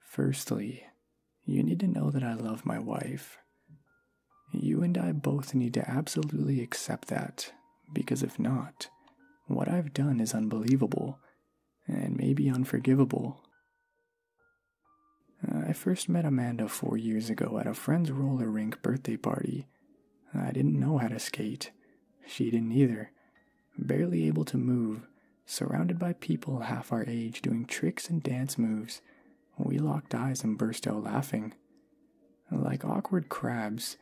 Firstly, you need to know that I love my wife. You and I both need to absolutely accept that, because if not, what I've done is unbelievable and maybe unforgivable. I first met Amanda four years ago at a friend's roller rink birthday party. I didn't know how to skate. She didn't either, barely able to move, surrounded by people half our age doing tricks and dance moves, we locked eyes and burst out laughing. Like awkward crabs,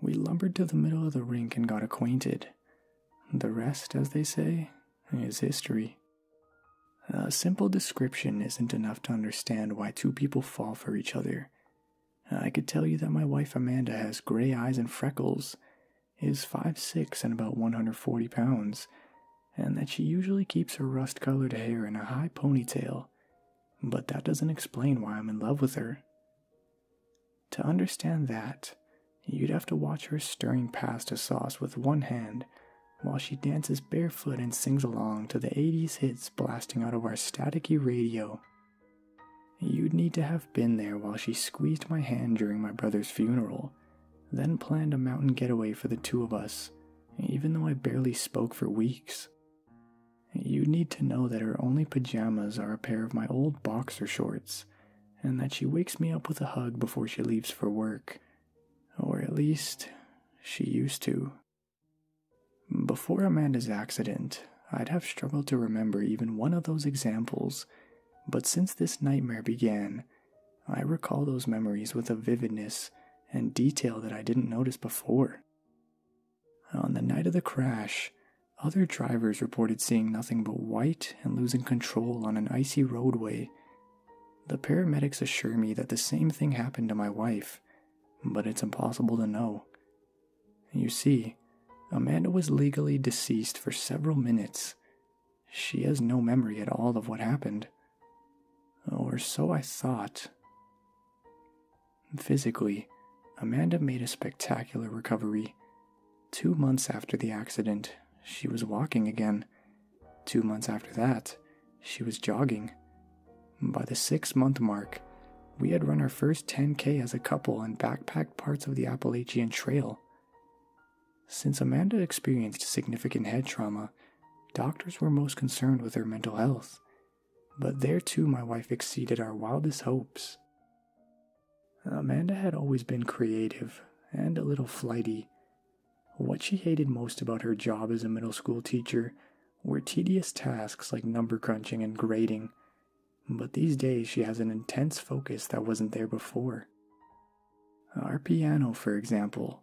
we lumbered to the middle of the rink and got acquainted. The rest, as they say, is history. A simple description isn't enough to understand why two people fall for each other. Uh, I could tell you that my wife Amanda has gray eyes and freckles, is five six and about 140 pounds, and that she usually keeps her rust colored hair in a high ponytail, but that doesn't explain why I'm in love with her. To understand that, you'd have to watch her stirring pasta sauce with one hand while she dances barefoot and sings along to the 80s hits blasting out of our staticky radio You'd need to have been there while she squeezed my hand during my brother's funeral, then planned a mountain getaway for the two of us, even though I barely spoke for weeks. You'd need to know that her only pajamas are a pair of my old boxer shorts, and that she wakes me up with a hug before she leaves for work. Or at least, she used to. Before Amanda's accident, I'd have struggled to remember even one of those examples, but since this nightmare began, I recall those memories with a vividness and detail that I didn't notice before. On the night of the crash, other drivers reported seeing nothing but white and losing control on an icy roadway. The paramedics assure me that the same thing happened to my wife, but it's impossible to know. You see, Amanda was legally deceased for several minutes. She has no memory at all of what happened. Or so I thought. Physically, Amanda made a spectacular recovery. Two months after the accident, she was walking again. Two months after that, she was jogging. By the six month mark, we had run our first 10K as a couple and backpacked parts of the Appalachian Trail. Since Amanda experienced significant head trauma, doctors were most concerned with her mental health. But there too, my wife exceeded our wildest hopes. Amanda had always been creative and a little flighty. What she hated most about her job as a middle school teacher were tedious tasks like number crunching and grading, but these days she has an intense focus that wasn't there before. Our piano, for example,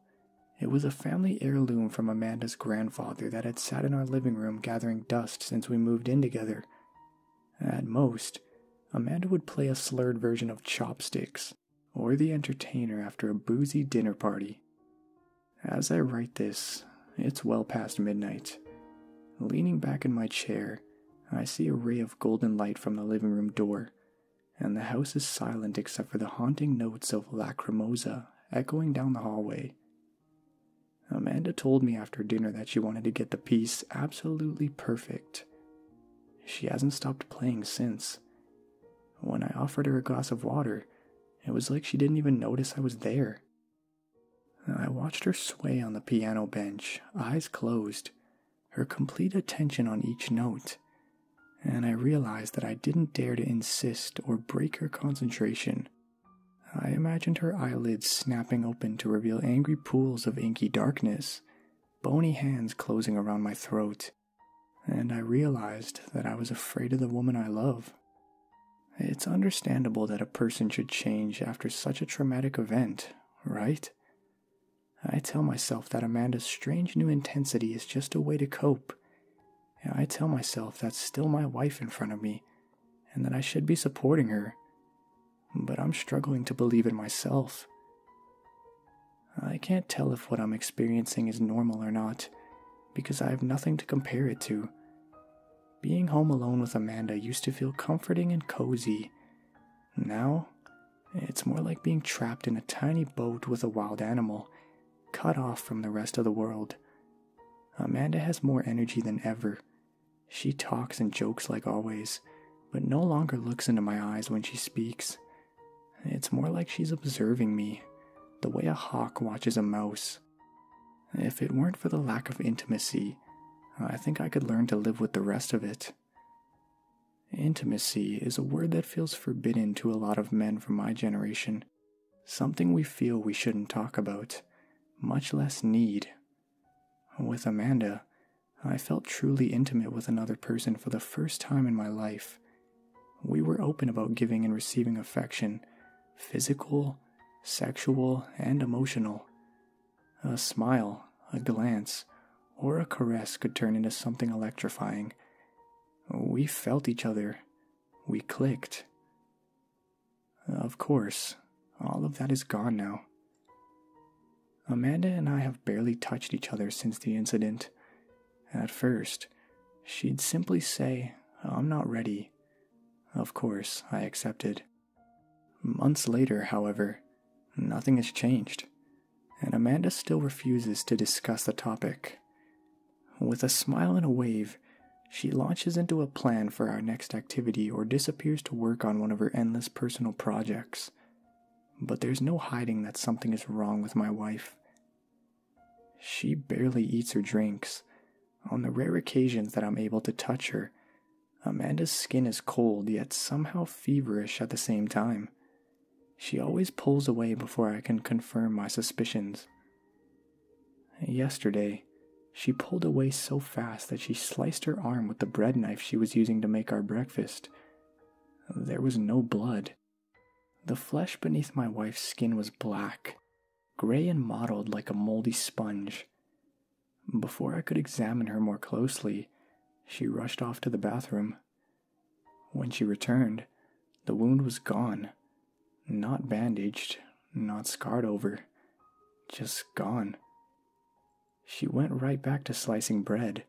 it was a family heirloom from Amanda's grandfather that had sat in our living room gathering dust since we moved in together. At most, Amanda would play a slurred version of Chopsticks or The Entertainer after a boozy dinner party. As I write this, it's well past midnight. Leaning back in my chair, I see a ray of golden light from the living room door, and the house is silent except for the haunting notes of lacrimosa echoing down the hallway. Amanda told me after dinner that she wanted to get the piece absolutely perfect. She hasn't stopped playing since. When I offered her a glass of water, it was like she didn't even notice I was there. I watched her sway on the piano bench, eyes closed, her complete attention on each note, and I realized that I didn't dare to insist or break her concentration. I imagined her eyelids snapping open to reveal angry pools of inky darkness, bony hands closing around my throat, and I realized that I was afraid of the woman I love. It's understandable that a person should change after such a traumatic event, right? I tell myself that Amanda's strange new intensity is just a way to cope. I tell myself that's still my wife in front of me and that I should be supporting her. But I'm struggling to believe in myself. I can't tell if what I'm experiencing is normal or not because I have nothing to compare it to. Being home alone with Amanda used to feel comforting and cozy. Now, it's more like being trapped in a tiny boat with a wild animal, cut off from the rest of the world. Amanda has more energy than ever. She talks and jokes like always, but no longer looks into my eyes when she speaks. It's more like she's observing me, the way a hawk watches a mouse. If it weren't for the lack of intimacy, I think I could learn to live with the rest of it. Intimacy is a word that feels forbidden to a lot of men from my generation, something we feel we shouldn't talk about, much less need. With Amanda, I felt truly intimate with another person for the first time in my life. We were open about giving and receiving affection, physical, sexual, and emotional. A smile, a glance, or a caress could turn into something electrifying. We felt each other. We clicked. Of course, all of that is gone now. Amanda and I have barely touched each other since the incident. At first, she'd simply say, I'm not ready. Of course, I accepted. Months later, however, nothing has changed, and Amanda still refuses to discuss the topic. With a smile and a wave, she launches into a plan for our next activity or disappears to work on one of her endless personal projects. But there's no hiding that something is wrong with my wife. She barely eats or drinks. On the rare occasions that I'm able to touch her, Amanda's skin is cold yet somehow feverish at the same time. She always pulls away before I can confirm my suspicions. Yesterday, she pulled away so fast that she sliced her arm with the bread knife she was using to make our breakfast. There was no blood. The flesh beneath my wife's skin was black, gray and mottled like a moldy sponge. Before I could examine her more closely, she rushed off to the bathroom. When she returned, the wound was gone. Not bandaged, not scarred over, just gone. She went right back to slicing bread,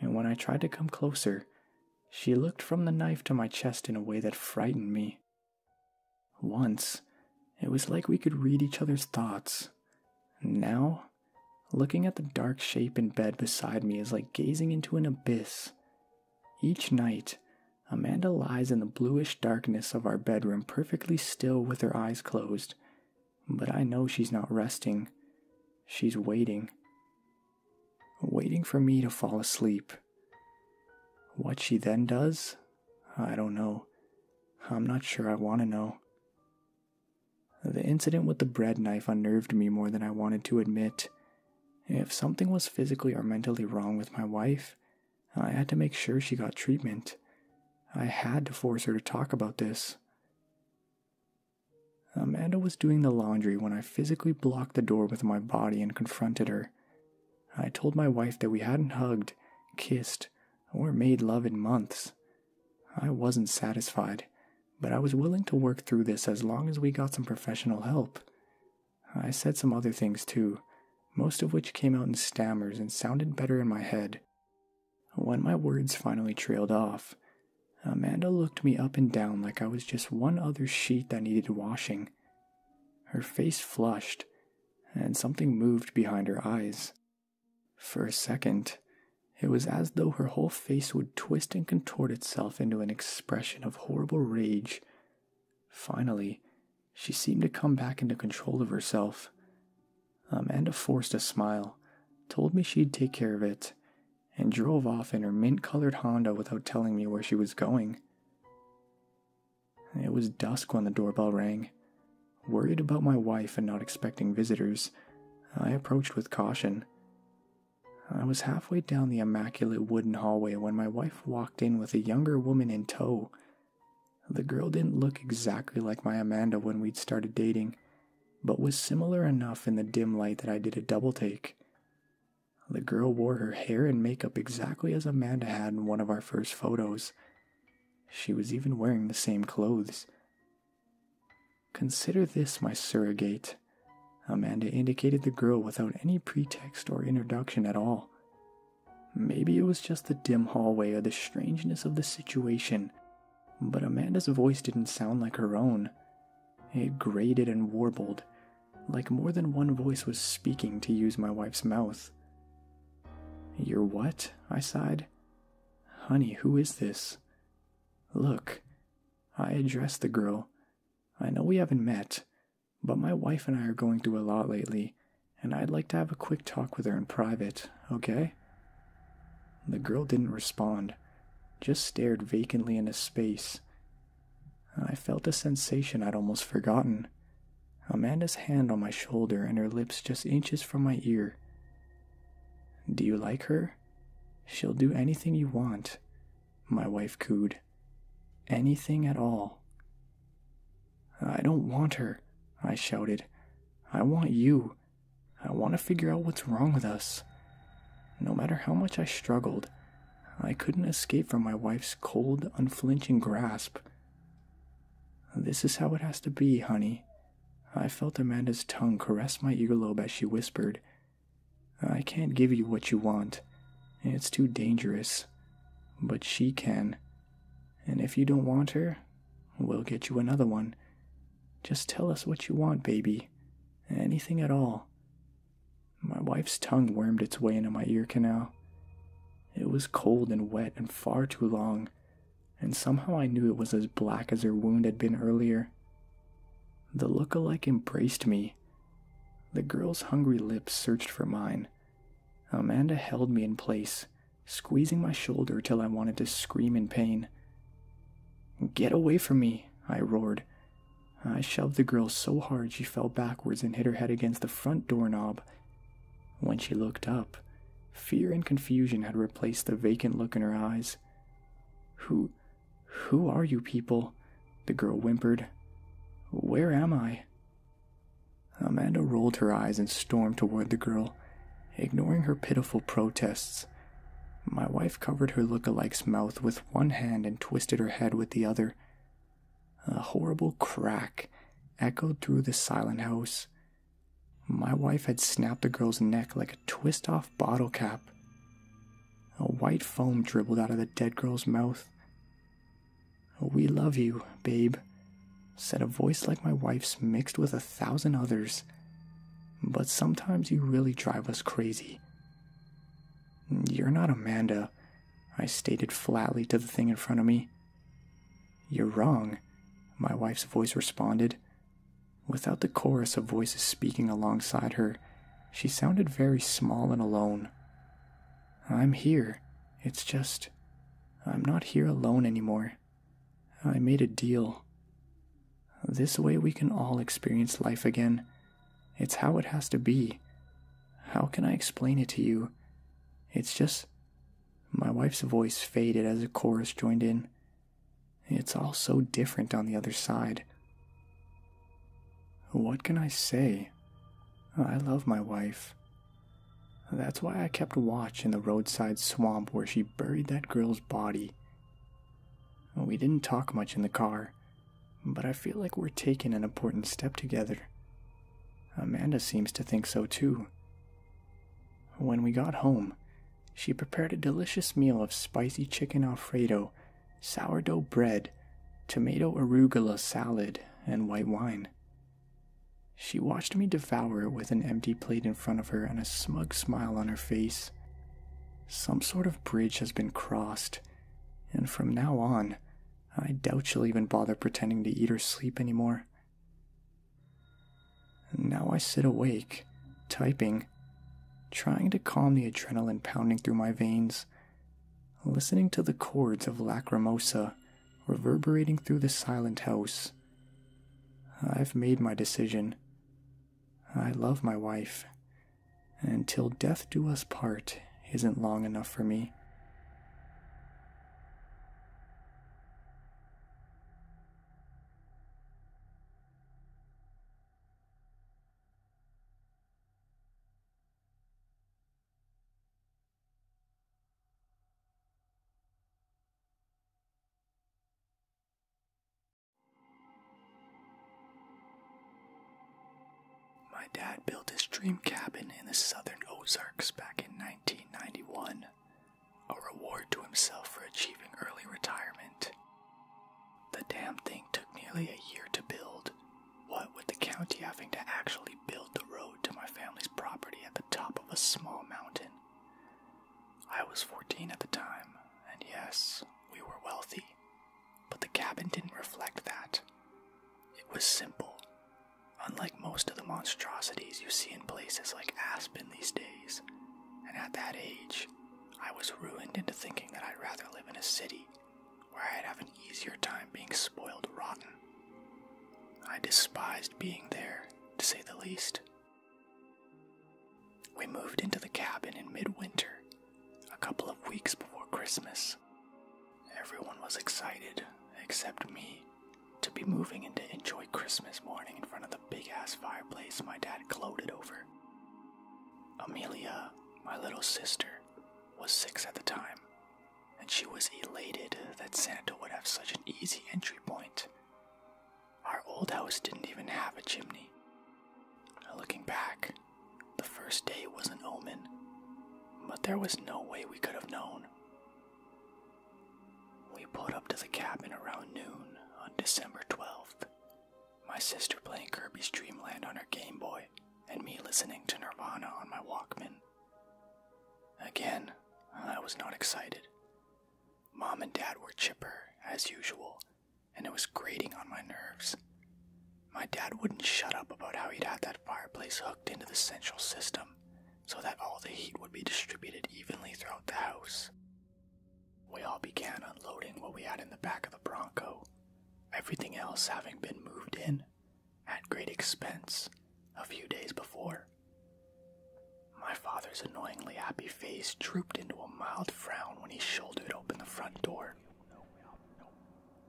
and when I tried to come closer, she looked from the knife to my chest in a way that frightened me. Once, it was like we could read each other's thoughts. Now, looking at the dark shape in bed beside me is like gazing into an abyss. Each night, Amanda lies in the bluish darkness of our bedroom, perfectly still with her eyes closed. But I know she's not resting. She's waiting. Waiting for me to fall asleep. What she then does? I don't know. I'm not sure I want to know. The incident with the bread knife unnerved me more than I wanted to admit. If something was physically or mentally wrong with my wife, I had to make sure she got treatment. I had to force her to talk about this. Amanda was doing the laundry when I physically blocked the door with my body and confronted her. I told my wife that we hadn't hugged, kissed, or made love in months, I wasn't satisfied, but I was willing to work through this as long as we got some professional help. I said some other things too, most of which came out in stammers and sounded better in my head. When my words finally trailed off, Amanda looked me up and down like I was just one other sheet that needed washing. Her face flushed, and something moved behind her eyes. For a second, it was as though her whole face would twist and contort itself into an expression of horrible rage. Finally, she seemed to come back into control of herself. Amanda forced a smile, told me she'd take care of it, and drove off in her mint colored Honda without telling me where she was going. It was dusk when the doorbell rang. Worried about my wife and not expecting visitors, I approached with caution. I was halfway down the immaculate wooden hallway when my wife walked in with a younger woman in tow. The girl didn't look exactly like my Amanda when we'd started dating, but was similar enough in the dim light that I did a double take. The girl wore her hair and makeup exactly as Amanda had in one of our first photos, she was even wearing the same clothes. Consider this my surrogate. Amanda indicated the girl without any pretext or introduction at all. Maybe it was just the dim hallway or the strangeness of the situation, but Amanda's voice didn't sound like her own. It grated and warbled, like more than one voice was speaking to use my wife's mouth. You're what? I sighed, Honey, who is this? Look, I addressed the girl. I know we haven't met, but my wife and I are going through a lot lately, and I'd like to have a quick talk with her in private, okay? The girl didn't respond, just stared vacantly into space. I felt a sensation I'd almost forgotten. Amanda's hand on my shoulder and her lips just inches from my ear. Do you like her? She'll do anything you want, my wife cooed. Anything at all. I don't want her, I shouted. I want you. I want to figure out what's wrong with us. No matter how much I struggled, I couldn't escape from my wife's cold, unflinching grasp. This is how it has to be, honey, I felt Amanda's tongue caress my earlobe as she whispered, I can't give you what you want. It's too dangerous. But she can. And if you don't want her, we'll get you another one. Just tell us what you want, baby. Anything at all. My wife's tongue wormed its way into my ear canal. It was cold and wet and far too long, and somehow I knew it was as black as her wound had been earlier. The look-alike embraced me. The girl's hungry lips searched for mine. Amanda held me in place, squeezing my shoulder till I wanted to scream in pain. Get away from me, I roared. I shoved the girl so hard she fell backwards and hit her head against the front doorknob. When she looked up, fear and confusion had replaced the vacant look in her eyes. Who. who are you people? The girl whimpered. Where am I? Amanda rolled her eyes and stormed toward the girl, ignoring her pitiful protests. My wife covered her look-alike's mouth with one hand and twisted her head with the other. A horrible crack echoed through the silent house, my wife had snapped the girl's neck like a twist off bottle cap. A white foam dribbled out of the dead girl's mouth. We love you, babe, said a voice like my wife's mixed with a thousand others. But sometimes you really drive us crazy. You're not Amanda, I stated flatly to the thing in front of me. You're wrong, my wife's voice responded, Without the chorus of voices speaking alongside her, she sounded very small and alone. I'm here. It's just. I'm not here alone anymore. I made a deal. This way we can all experience life again. It's how it has to be. How can I explain it to you? It's just. My wife's voice faded as a chorus joined in, it's all so different on the other side. What can I say? I love my wife. That's why I kept watch in the roadside swamp where she buried that girl's body. We didn't talk much in the car, but I feel like we're taking an important step together. Amanda seems to think so too. When we got home, she prepared a delicious meal of spicy chicken alfredo, sourdough bread, tomato arugula salad, and white wine. She watched me devour it with an empty plate in front of her and a smug smile on her face. Some sort of bridge has been crossed, and from now on, I doubt she'll even bother pretending to eat or sleep anymore. Now I sit awake, typing, trying to calm the adrenaline pounding through my veins, listening to the chords of Lacrimosa reverberating through the silent house. I've made my decision. I love my wife. and till death do us part isn't long enough for me. My dad built his dream cabin in the southern Ozarks back in 1991 a reward to himself for achieving early retirement. The damn thing took nearly a year to build, what with the county having to actually build the road to my family's property at the top of a small mountain. I was 14 at the time, and yes, we were wealthy, but the cabin didn't reflect that. It was simple, unlike most of the monstrosities you see in places like Aspen these days and at that age, I was ruined into thinking that I'd rather live in a city where I'd have an easier time being spoiled rotten. I despised being there, to say the least. We moved into the cabin in midwinter, a couple of weeks before Christmas. Everyone was excited, except me, to be moving and to enjoy Christmas morning in front of the big ass fireplace my dad gloated over. Amelia, my little sister, was six at the time, and she was elated that Santa would have such an easy entry point. Our old house didn't even have a chimney. Looking back, the first day was an omen, but there was no way we could have known. We pulled up to the cabin around noon on December 12th. My sister playing Kirby's Dreamland on her Game Boy, and me listening to Nirvana on my Walkman. Again, I was not excited. Mom and Dad were chipper, as usual, and it was grating on my nerves. My dad wouldn't shut up about how he'd had that fireplace hooked into the central system so that all the heat would be distributed evenly throughout the house. We all began unloading what we had in the back of the Bronco, everything else having been moved in at great expense a few days before. My father's annoyingly happy face drooped into a mild frown when he shouldered open the front door.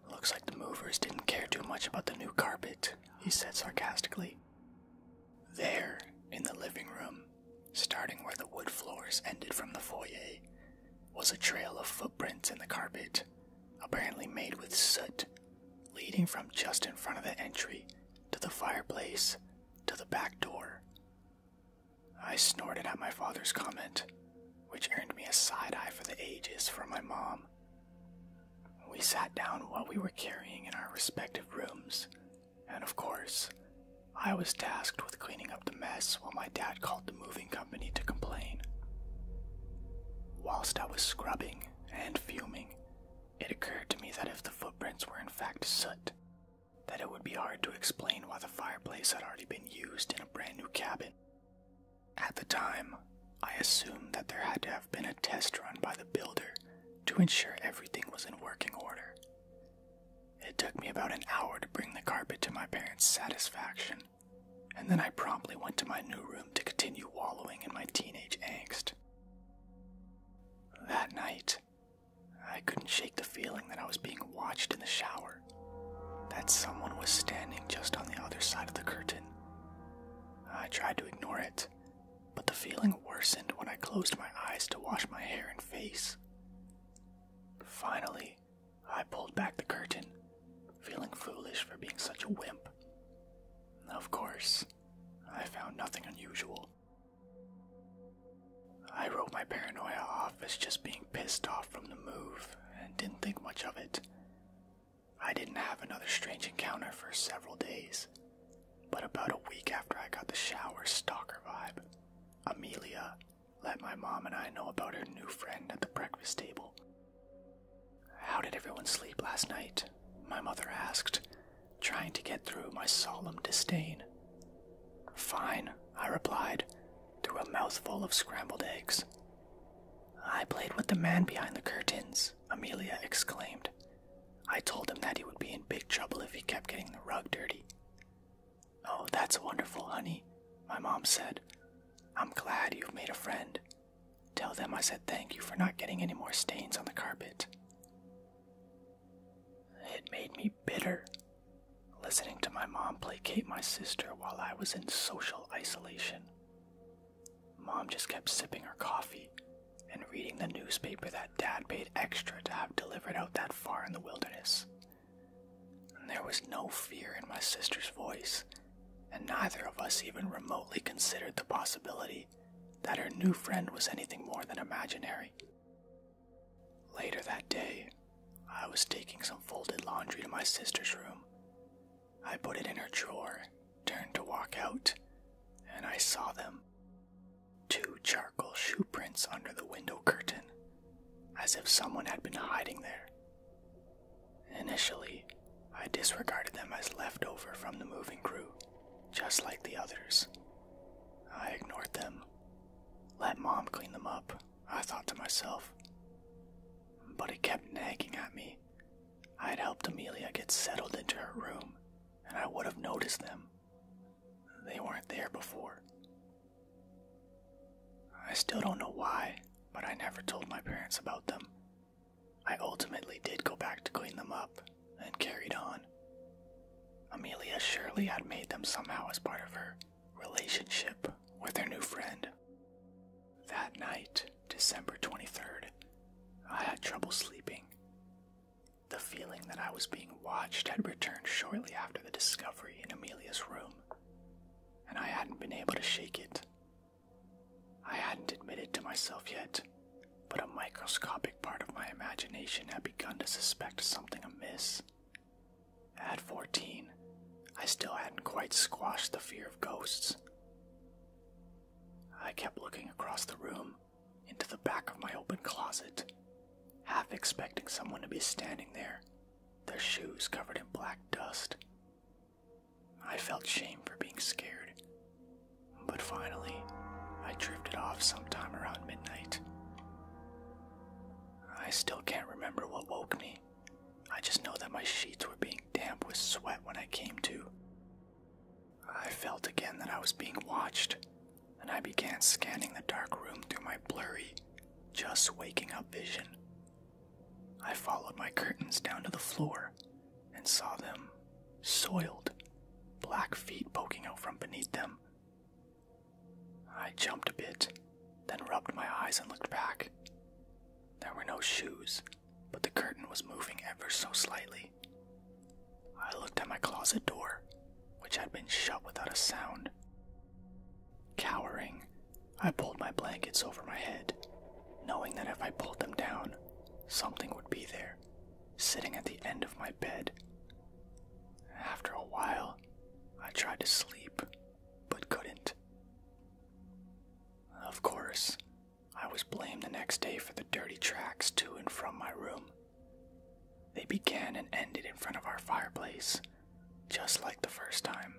Looks like the movers didn't care too much about the new carpet, he said sarcastically. There, in the living room, starting where the wood floors ended from the foyer, was a trail of footprints in the carpet, apparently made with soot, leading from just in front of the entry to the fireplace to the back door. I snorted at my father's comment, which earned me a side eye for the ages from my mom. We sat down what we were carrying in our respective rooms and of course, I was tasked with cleaning up the mess while my dad called the moving company to complain. Whilst I was scrubbing and fuming, it occurred to me that if the footprints were in fact soot, that it would be hard to explain why the fireplace had already been used in a brand new cabin. At the time, I assumed that there had to have been a test run by the builder to ensure everything was in working order, it took me about an hour to bring the carpet to my parents' satisfaction, and then I promptly went to my new room to continue wallowing in my teenage angst. That night, I couldn't shake the feeling that I was being watched in the shower, that someone was standing just on the other side of the curtain. I tried to ignore it, but the feeling worsened when I closed my eyes to wash my hair and face. Finally, I pulled back the curtain, feeling foolish for being such a wimp. Of course, I found nothing unusual. I wrote my paranoia off as just being pissed off from the move and didn't think much of it. I didn't have another strange encounter for several days, but about a week after I got the shower stalker vibe, Amelia let my mom and I know about her new friend at the breakfast table. How did everyone sleep last night? My mother asked, trying to get through my solemn disdain. Fine, I replied, through a mouthful of scrambled eggs. I played with the man behind the curtains, Amelia exclaimed, I told him that he would be in big trouble if he kept getting the rug dirty. Oh, that's wonderful, honey, my mom said. I'm glad you've made a friend. Tell them I said thank you for not getting any more stains on the carpet. It made me bitter listening to my mom placate my sister while I was in social isolation. Mom just kept sipping her coffee and reading the newspaper that Dad paid extra to have delivered out that far in the wilderness. there was no fear in my sister's voice, and neither of us even remotely considered the possibility that her new friend was anything more than imaginary. Later that day, I was taking some folded laundry to my sister's room. I put it in her drawer, turned to walk out, and I saw them two charcoal shoe prints under the window curtain, as if someone had been hiding there. Initially, I disregarded them as leftover from the moving crew, just like the others. I ignored them. Let mom clean them up, I thought to myself. But it kept nagging at me. I had helped Amelia get settled into her room, and I would have noticed them. They weren't there before. I still don't know why, but I never told my parents about them. I ultimately did go back to clean them up and carried on. Amelia surely had made them somehow as part of her relationship with her new friend. That night, December 23rd, I had trouble sleeping. The feeling that I was being watched had returned shortly after the discovery in Amelia's room, and I hadn't been able to shake it. I hadn't admitted to myself yet, but a microscopic part of my imagination had begun to suspect something amiss. At 14, I still hadn't quite squashed the fear of ghosts. I kept looking across the room, into the back of my open closet, half expecting someone to be standing there, their shoes covered in black dust. I felt shame for being scared, but finally, I drifted off sometime around midnight. I still can't remember what woke me. I just know that my sheets were being damp with sweat when I came to. I felt again that I was being watched, and I began scanning the dark room through my blurry, just waking up vision. I followed my curtains down to the floor and saw them soiled, black feet poking out from beneath them. I jumped a bit, then rubbed my eyes and looked back. There were no shoes, but the curtain was moving ever so slightly. I looked at my closet door, which had been shut without a sound. Cowering, I pulled my blankets over my head, knowing that if I pulled them down, something would be there, sitting at the end of my bed. After a while, I tried to sleep, but couldn't. Of course, I was blamed the next day for the dirty tracks to and from my room. They began and ended in front of our fireplace, just like the first time,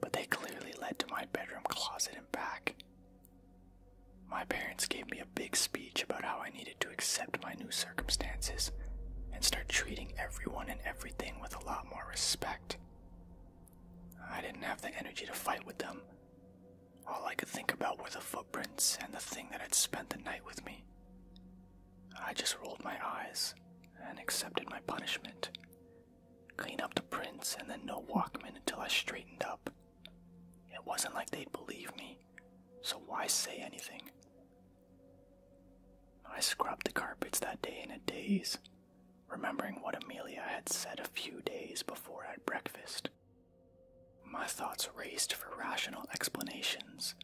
but they clearly led to my bedroom closet and back. My parents gave me a big speech about how I needed to accept my new circumstances and start treating everyone and everything with a lot more respect. I didn't have the energy to fight with them. All I could think about were the footprints and the thing that had spent the night with me. I just rolled my eyes and accepted my punishment. Clean up the prints and then no Walkman until I straightened up. It wasn't like they'd believe me, so why say anything? I scrubbed the carpets that day in a daze, remembering what Amelia had said a few days before at breakfast. My thoughts raced for rational explanations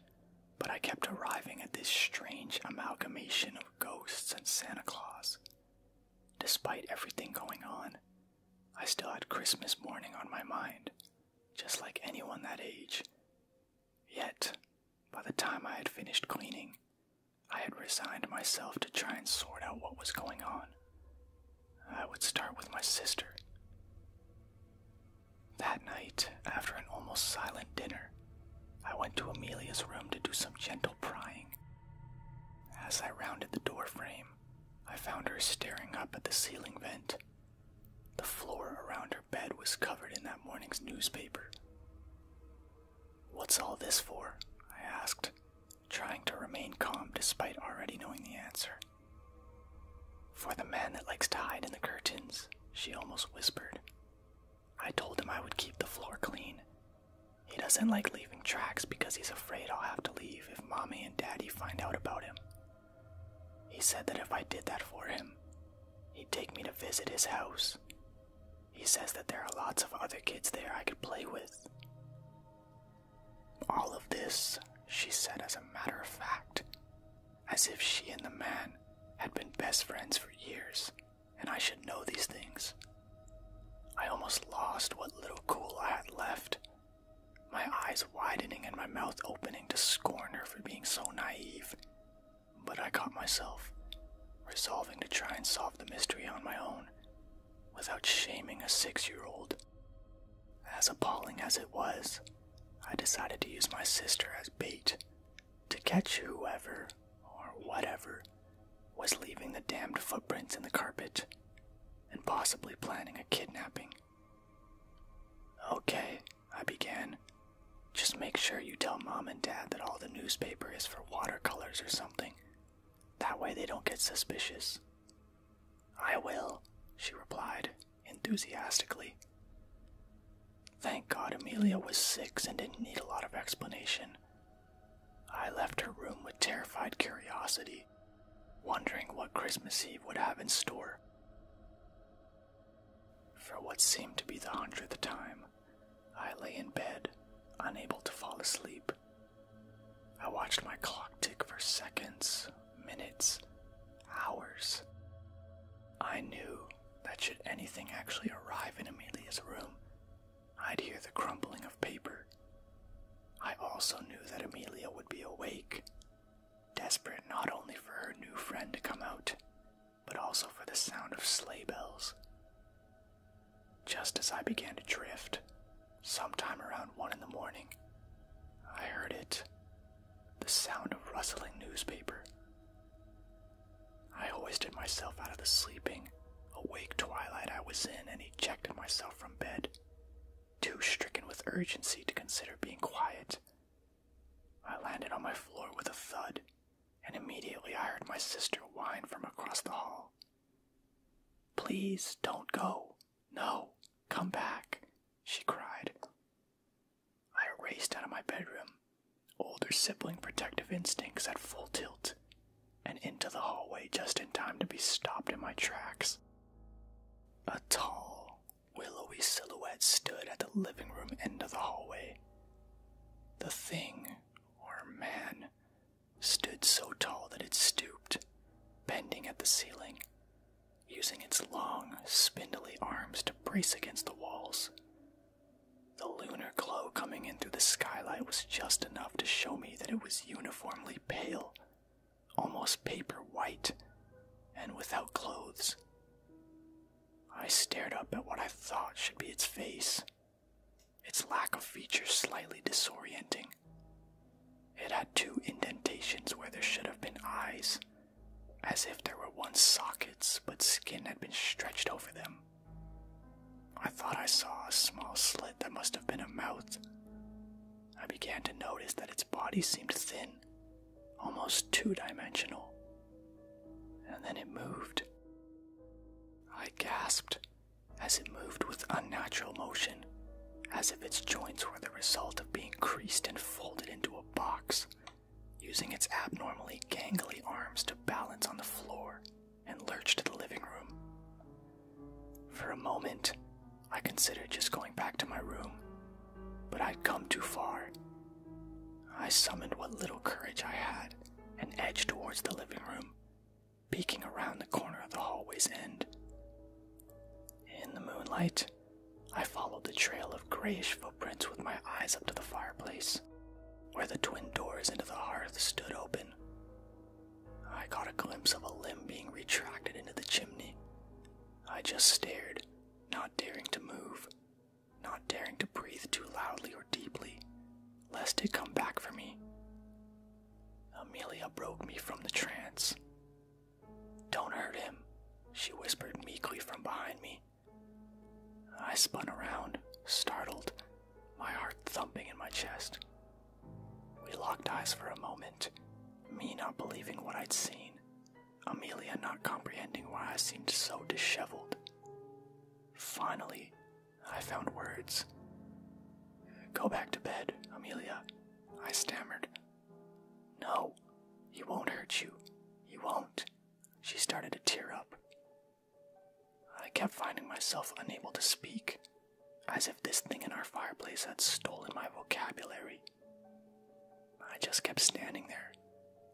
but I kept arriving at this strange amalgamation of ghosts and Santa Claus. Despite everything going on, I still had Christmas morning on my mind, just like anyone that age. Yet, by the time I had finished cleaning, I had resigned myself to try and sort out what was going on. I would start with my sister. That night, after an almost silent dinner, I went to Amelia's room to do some gentle prying. As I rounded the door frame, I found her staring up at the ceiling vent. The floor around her bed was covered in that morning's newspaper. What's all this for? I asked, trying to remain calm despite already knowing the answer. For the man that likes to hide in the curtains, she almost whispered. I told him I would keep the floor clean. He doesn't like leaving tracks because he's afraid I'll have to leave if mommy and daddy find out about him. He said that if I did that for him, he'd take me to visit his house. He says that there are lots of other kids there I could play with. All of this, she said as a matter of fact as if she and the man had been best friends for years, and I should know these things. I almost lost what little cool I had left, my eyes widening and my mouth opening to scorn her for being so naive. But I caught myself, resolving to try and solve the mystery on my own, without shaming a six year old. As appalling as it was, I decided to use my sister as bait to catch whoever or whatever was leaving the damned footprints in the carpet and possibly planning a kidnapping. Okay, I began. Just make sure you tell mom and dad that all the newspaper is for watercolors or something. That way they don't get suspicious. I will, she replied, enthusiastically. Thank God Amelia was six and didn't need a lot of explanation. I left her room with terrified curiosity, wondering what Christmas Eve would have in store. For what seemed to be the hundredth time, I lay in bed, unable to fall asleep. I watched my clock tick for seconds, minutes, hours. I knew that should anything actually arrive in Amelia's room, I'd hear the crumbling of paper. I also knew that Amelia would be awake, desperate not only for her new friend to come out, but also for the sound of sleigh bells. Just as I began to drift, sometime around one in the morning, I heard it the sound of rustling newspaper. I hoisted myself out of the sleeping, awake twilight I was in and ejected myself from bed, too stricken with urgency to consider being quiet. I landed on my floor with a thud, and immediately I heard my sister whine from across the hall. Please don't go. No, come back, she cried. I raced out of my bedroom, older sibling protective instincts at full tilt, and into the hallway just in time to be stopped in my tracks. A tall, willowy silhouette stood at the living room end of the hallway. The thing, or man, stood so tall that it stooped, bending at the ceiling, using its long, spindly arms to brace against the walls. The lunar glow coming in through the skylight was just enough to show me that it was uniformly pale, almost paper white, and without clothes. I stared up at what I thought should be its face, its lack of features slightly disorienting. It had two indentations where there should have been eyes, as if there were once sockets, but skin had been stretched over them. I thought I saw a small slit that must have been a mouth. I began to notice that its body seemed thin, almost two dimensional. And then it moved. I gasped as it moved with unnatural motion, as if its joints were the result of being creased and folded into a box using its abnormally gangly arms to balance on the floor and lurch to the living room. For a moment, I considered just going back to my room, but I'd come too far. I summoned what little courage I had and edged towards the living room, peeking around the corner of the hallway's end. In the moonlight, I followed the trail of grayish footprints with my eyes up to the fireplace, where the twin doors into the hearth stood open. I caught a glimpse of a limb being retracted into the chimney. I just stared, not daring to move, not daring to breathe too loudly or deeply, lest it come back for me. Amelia broke me from the trance. Don't hurt him, she whispered meekly from behind me. I spun around, startled, my heart thumping in my chest. We locked eyes for a moment, me not believing what I'd seen, Amelia not comprehending why I seemed so disheveled. Finally, I found words. Go back to bed, Amelia, I stammered. No, he won't hurt you. He won't she started to tear up. I kept finding myself unable to speak, as if this thing in our fireplace had stolen my vocabulary. I just kept standing there,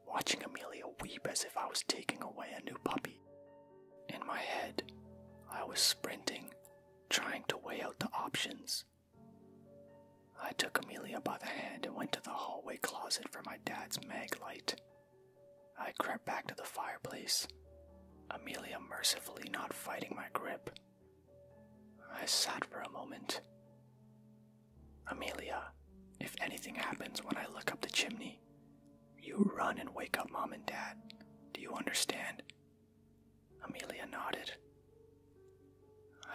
watching Amelia weep as if I was taking away a new puppy. In my head, I was sprinting, trying to weigh out the options. I took Amelia by the hand and went to the hallway closet for my dad's mag light. I crept back to the fireplace, Amelia mercifully not fighting my grip. I sat for a moment. Amelia, if anything happens when I look up the chimney, you run and wake up mom and dad. Do you understand? Amelia nodded.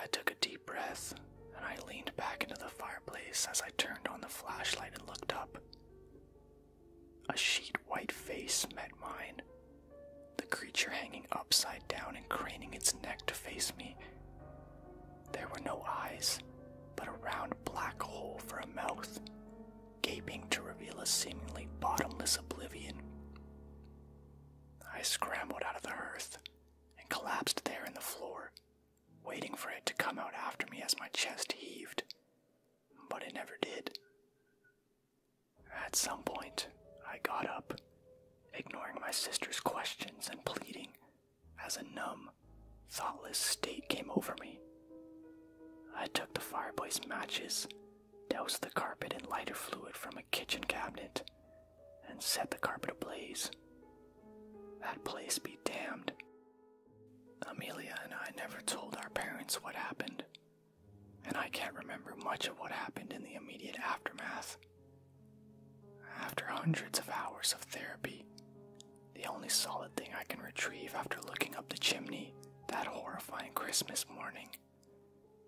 I took a deep breath and I leaned back into the fireplace as I turned on the flashlight and looked up. A sheet white face met mine, the creature hanging upside down and craning its neck to face me. There were no eyes, but a round black hole for a mouth, gaping to reveal a seemingly bottomless oblivion. I scrambled out of the hearth and collapsed there in the floor, waiting for it to come out after me as my chest heaved, but it never did. At some point, I got up, ignoring my sister's questions and pleading as a numb, thoughtless state came over me. I took the fireplace matches, doused the carpet in lighter fluid from a kitchen cabinet, and set the carpet ablaze. That place be damned. Amelia and I never told our parents what happened, and I can't remember much of what happened in the immediate aftermath. After hundreds of hours of therapy, the only solid thing I can retrieve after looking up the chimney that horrifying Christmas morning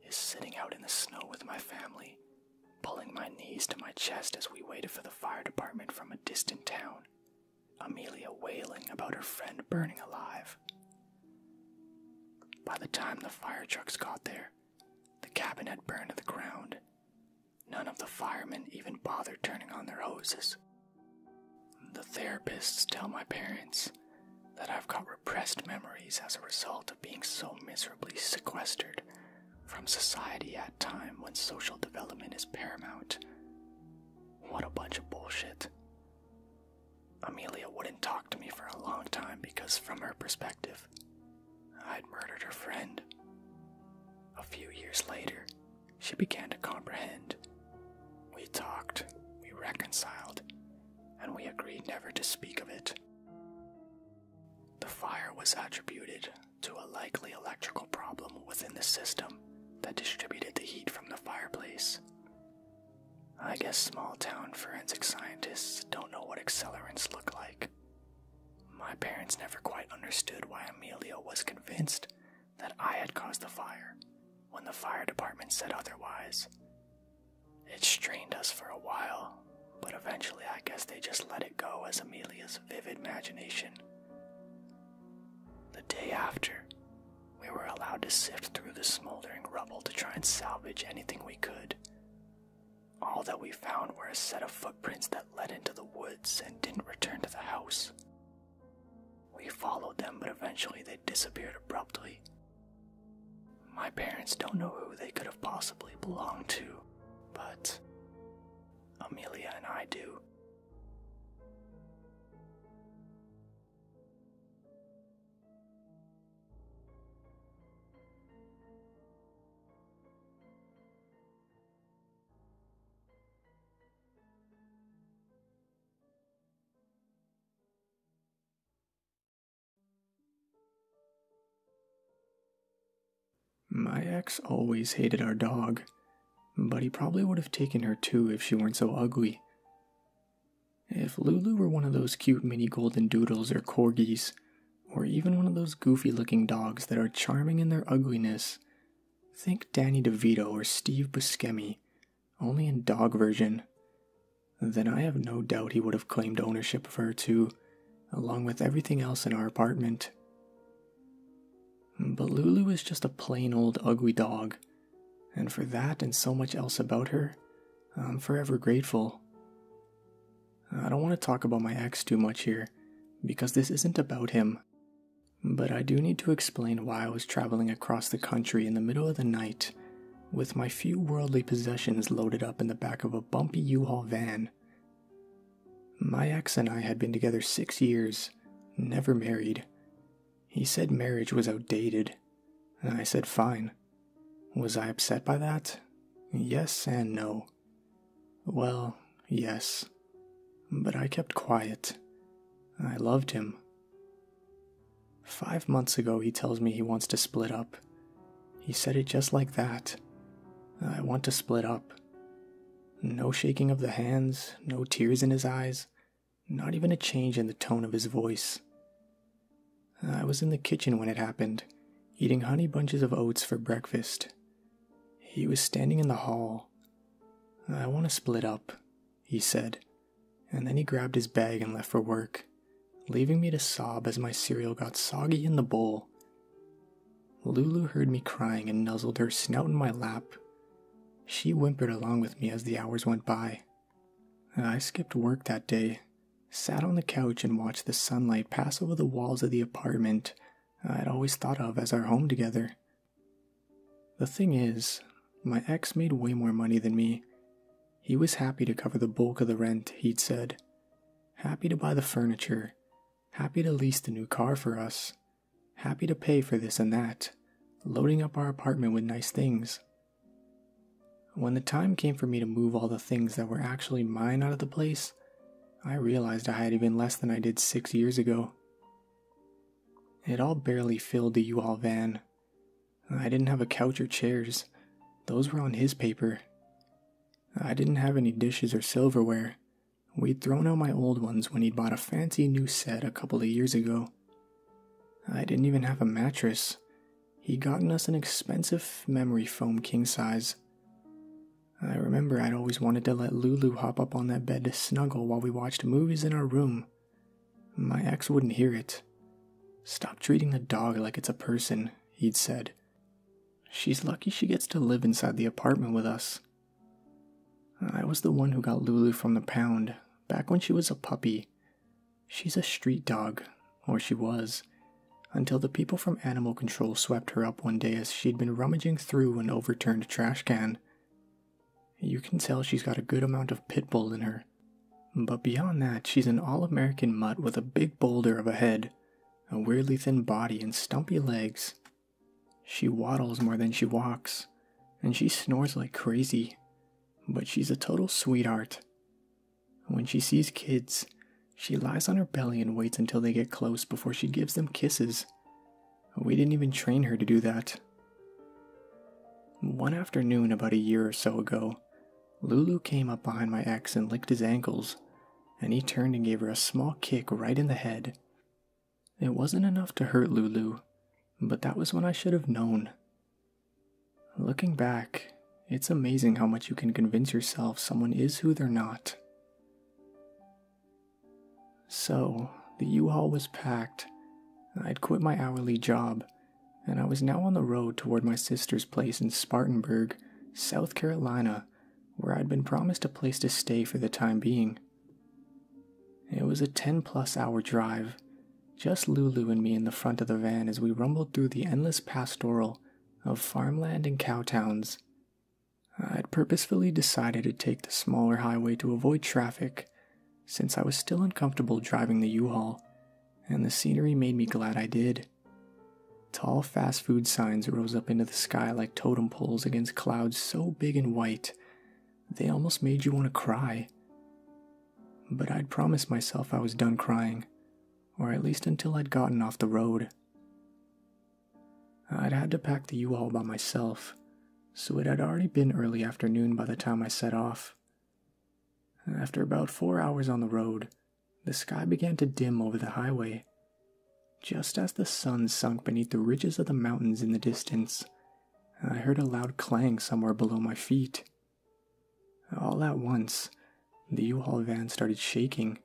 is sitting out in the snow with my family Pulling my knees to my chest as we waited for the fire department from a distant town, Amelia wailing about her friend burning alive. By the time the fire trucks got there, the cabin had burned to the ground. None of the firemen even bothered turning on their hoses. The therapists tell my parents that I've got repressed memories as a result of being so miserably sequestered from society at a time when social development is paramount. What a bunch of bullshit. Amelia wouldn't talk to me for a long time because, from her perspective, I'd murdered her friend. A few years later, she began to comprehend. We talked, we reconciled, and we agreed never to speak of it. The fire was attributed to a likely electrical problem within the system that distributed the heat from the fireplace. I guess small town forensic scientists don't know what accelerants look like. My parents never quite understood why Emilio was convinced that I had caused the fire when the fire department said otherwise. It strained us for a while but eventually I guess they just let it go as Amelia's vivid imagination. The day after, we were allowed to sift through the smoldering rubble to try and salvage anything we could. All that we found were a set of footprints that led into the woods and didn't return to the house. We followed them, but eventually they disappeared abruptly. My parents don't know who they could have possibly belonged to, but Amelia and I do. My ex always hated our dog, but he probably would have taken her too if she weren't so ugly. If Lulu were one of those cute mini golden doodles or corgis, or even one of those goofy looking dogs that are charming in their ugliness, think Danny DeVito or Steve Buscemi, only in dog version, then I have no doubt he would have claimed ownership of her too along with everything else in our apartment. But Lulu is just a plain old ugly dog, and for that and so much else about her, I'm forever grateful. I don't want to talk about my ex too much here, because this isn't about him. But I do need to explain why I was traveling across the country in the middle of the night with my few worldly possessions loaded up in the back of a bumpy U Haul van my ex and I had been together six years, never married. He said marriage was outdated. and I said fine. Was I upset by that? Yes and no. Well, yes. But I kept quiet. I loved him. Five months ago, he tells me he wants to split up. He said it just like that. I want to split up. No shaking of the hands, no tears in his eyes, not even a change in the tone of his voice. I was in the kitchen when it happened, eating honey bunches of oats for breakfast. He was standing in the hall. I want to split up, he said, and then he grabbed his bag and left for work, leaving me to sob as my cereal got soggy in the bowl Lulu heard me crying and nuzzled her snout in my lap. She whimpered along with me as the hours went by. I skipped work that day, sat on the couch, and watched the sunlight pass over the walls of the apartment I'd always thought of as our home together. The thing is, my ex made way more money than me. He was happy to cover the bulk of the rent, he'd said, happy to buy the furniture, Happy to lease the new car for us. Happy to pay for this and that. Loading up our apartment with nice things. When the time came for me to move all the things that were actually mine out of the place, I realized I had even less than I did six years ago. It all barely filled the U Haul van. I didn't have a couch or chairs, those were on his paper. I didn't have any dishes or silverware, We'd thrown out my old ones when he'd bought a fancy new set a couple of years ago. I didn't even have a mattress. He'd gotten us an expensive memory foam king size. I remember I'd always wanted to let Lulu hop up on that bed to snuggle while we watched movies in our room. My ex wouldn't hear it. Stop treating the dog like it's a person, he'd said. She's lucky she gets to live inside the apartment with us. I was the one who got Lulu from the pound back when she was a puppy. She's a street dog, or she was, until the people from animal control swept her up one day as she'd been rummaging through an overturned trash can. You can tell she's got a good amount of pit bull in her. But beyond that, she's an all American mutt with a big boulder of a head, a weirdly thin body, and stumpy legs, she waddles more than she walks, and she snores like crazy, but she's a total sweetheart. When she sees kids, she lies on her belly and waits until they get close before she gives them kisses. We didn't even train her to do that. One afternoon, about a year or so ago, Lulu came up behind my ex and licked his ankles and he turned and gave her a small kick right in the head. It wasn't enough to hurt Lulu, but that was when I should have known. Looking back, it's amazing how much you can convince yourself someone is who they're not. So, the U Haul was packed. I'd quit my hourly job, and I was now on the road toward my sister's place in Spartanburg, South Carolina where I'd been promised a place to stay for the time being. It was a 10 plus hour drive, just Lulu and me in the front of the van as we rumbled through the endless pastoral of farmland and cow towns. I'd purposefully decided to take the smaller highway to avoid traffic, since I was still uncomfortable driving the U Haul, and the scenery made me glad I did. Tall fast food signs rose up into the sky like totem poles against clouds so big and white they almost made you want to cry. But I'd promised myself I was done crying, or at least until I'd gotten off the road. I'd had to pack the U Haul by myself, so it had already been early afternoon by the time I set off. After about four hours on the road, the sky began to dim over the highway just as the sun sunk beneath the ridges of the mountains in the distance, I heard a loud clang somewhere below my feet. All at once, the U Haul van started shaking.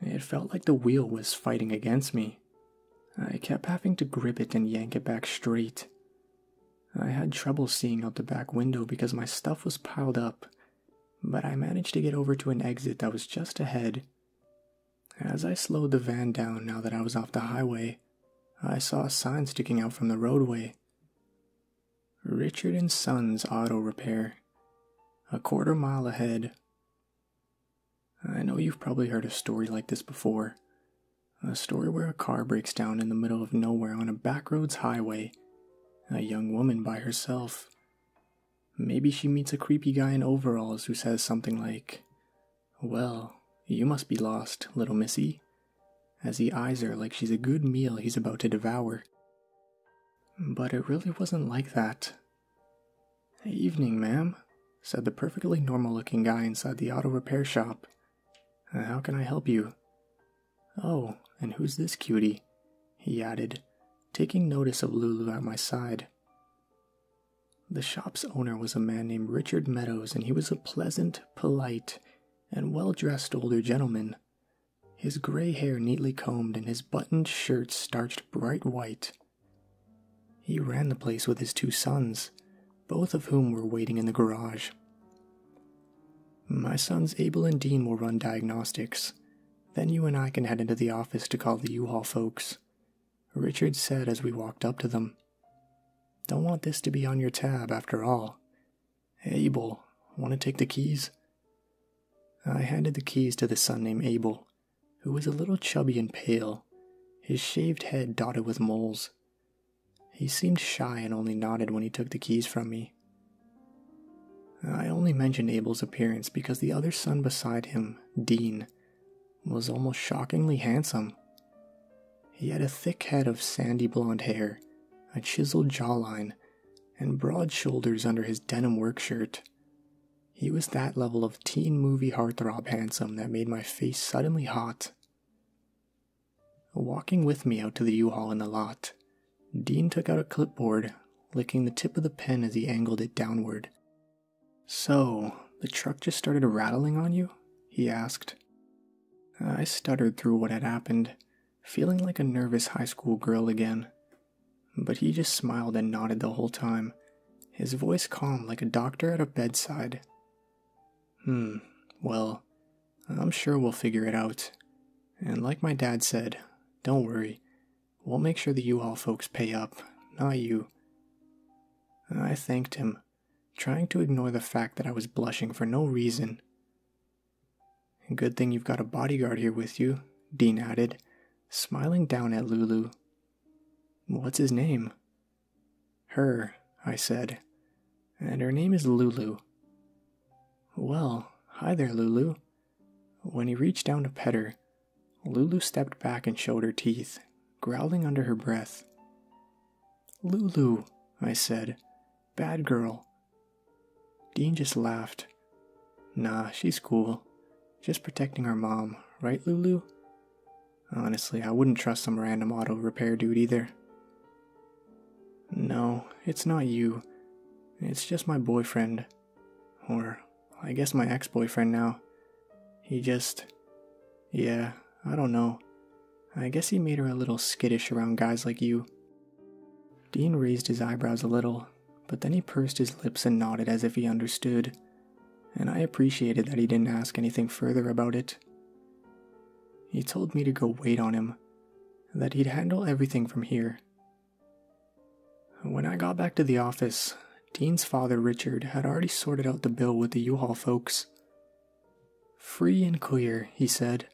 It felt like the wheel was fighting against me. I kept having to grip it and yank it back straight. I had trouble seeing out the back window because my stuff was piled up, but I managed to get over to an exit that was just ahead as I slowed the van down now that I was off the highway, I saw a sign sticking out from the roadway Richard and Sons Auto Repair, a quarter mile ahead. I know you've probably heard a story like this before. A story where a car breaks down in the middle of nowhere on a backroads highway, a young woman by herself, Maybe she meets a creepy guy in overalls who says something like, Well, you must be lost, little missy, as he eyes her like she's a good meal he's about to devour. But it really wasn't like that. Evening, ma'am, said the perfectly normal looking guy inside the auto repair shop. How can I help you? Oh, and who's this cutie? He added, taking notice of Lulu at my side. The shop's owner was a man named Richard Meadows, and he was a pleasant, polite, and well dressed older gentleman. His gray hair neatly combed and his buttoned shirt starched bright white. He ran the place with his two sons, both of whom were waiting in the garage. My sons Abel and Dean will run diagnostics, then you and I can head into the office to call the U Haul folks, Richard said as we walked up to them. Don't want this to be on your tab, after all. Abel, want to take the keys? I handed the keys to the son named Abel, who was a little chubby and pale, his shaved head dotted with moles. He seemed shy and only nodded when he took the keys from me. I only mentioned Abel's appearance because the other son beside him Dean, was almost shockingly handsome. He had a thick head of sandy blonde hair, a chiseled jawline, and broad shoulders under his denim work shirt. He was that level of teen movie heartthrob handsome that made my face suddenly hot. Walking with me out to the U Haul in the lot, Dean took out a clipboard, licking the tip of the pen as he angled it downward so, the truck just started rattling on you? he asked. Uh, I stuttered through what had happened, feeling like a nervous high school girl again. But he just smiled and nodded the whole time, his voice calm like a doctor at a bedside. Hmm, well, I'm sure we'll figure it out. And like my dad said, don't worry, We'll make sure the you all folks pay up, now you. I thanked him, trying to ignore the fact that I was blushing for no reason. Good thing you've got a bodyguard here with you, Dean added, smiling down at Lulu. What's his name? Her, I said, and her name is Lulu. Well, hi there, Lulu, when he reached down to pet her, Lulu stepped back and showed her teeth, growling under her breath. Lulu, I said, bad girl. Dean just laughed. Nah, she's cool. Just protecting her mom, right, Lulu? Honestly, I wouldn't trust some random auto repair dude either. No, it's not you. It's just my boyfriend. Or, I guess my ex boyfriend now. He just. Yeah, I don't know. I guess he made her a little skittish around guys like you. Dean raised his eyebrows a little, but then he pursed his lips and nodded as if he understood, and I appreciated that he didn't ask anything further about it. He told me to go wait on him, that he'd handle everything from here, when I got back to the office, Dean's father, Richard, had already sorted out the bill with the U Haul folks. Free and clear, he said.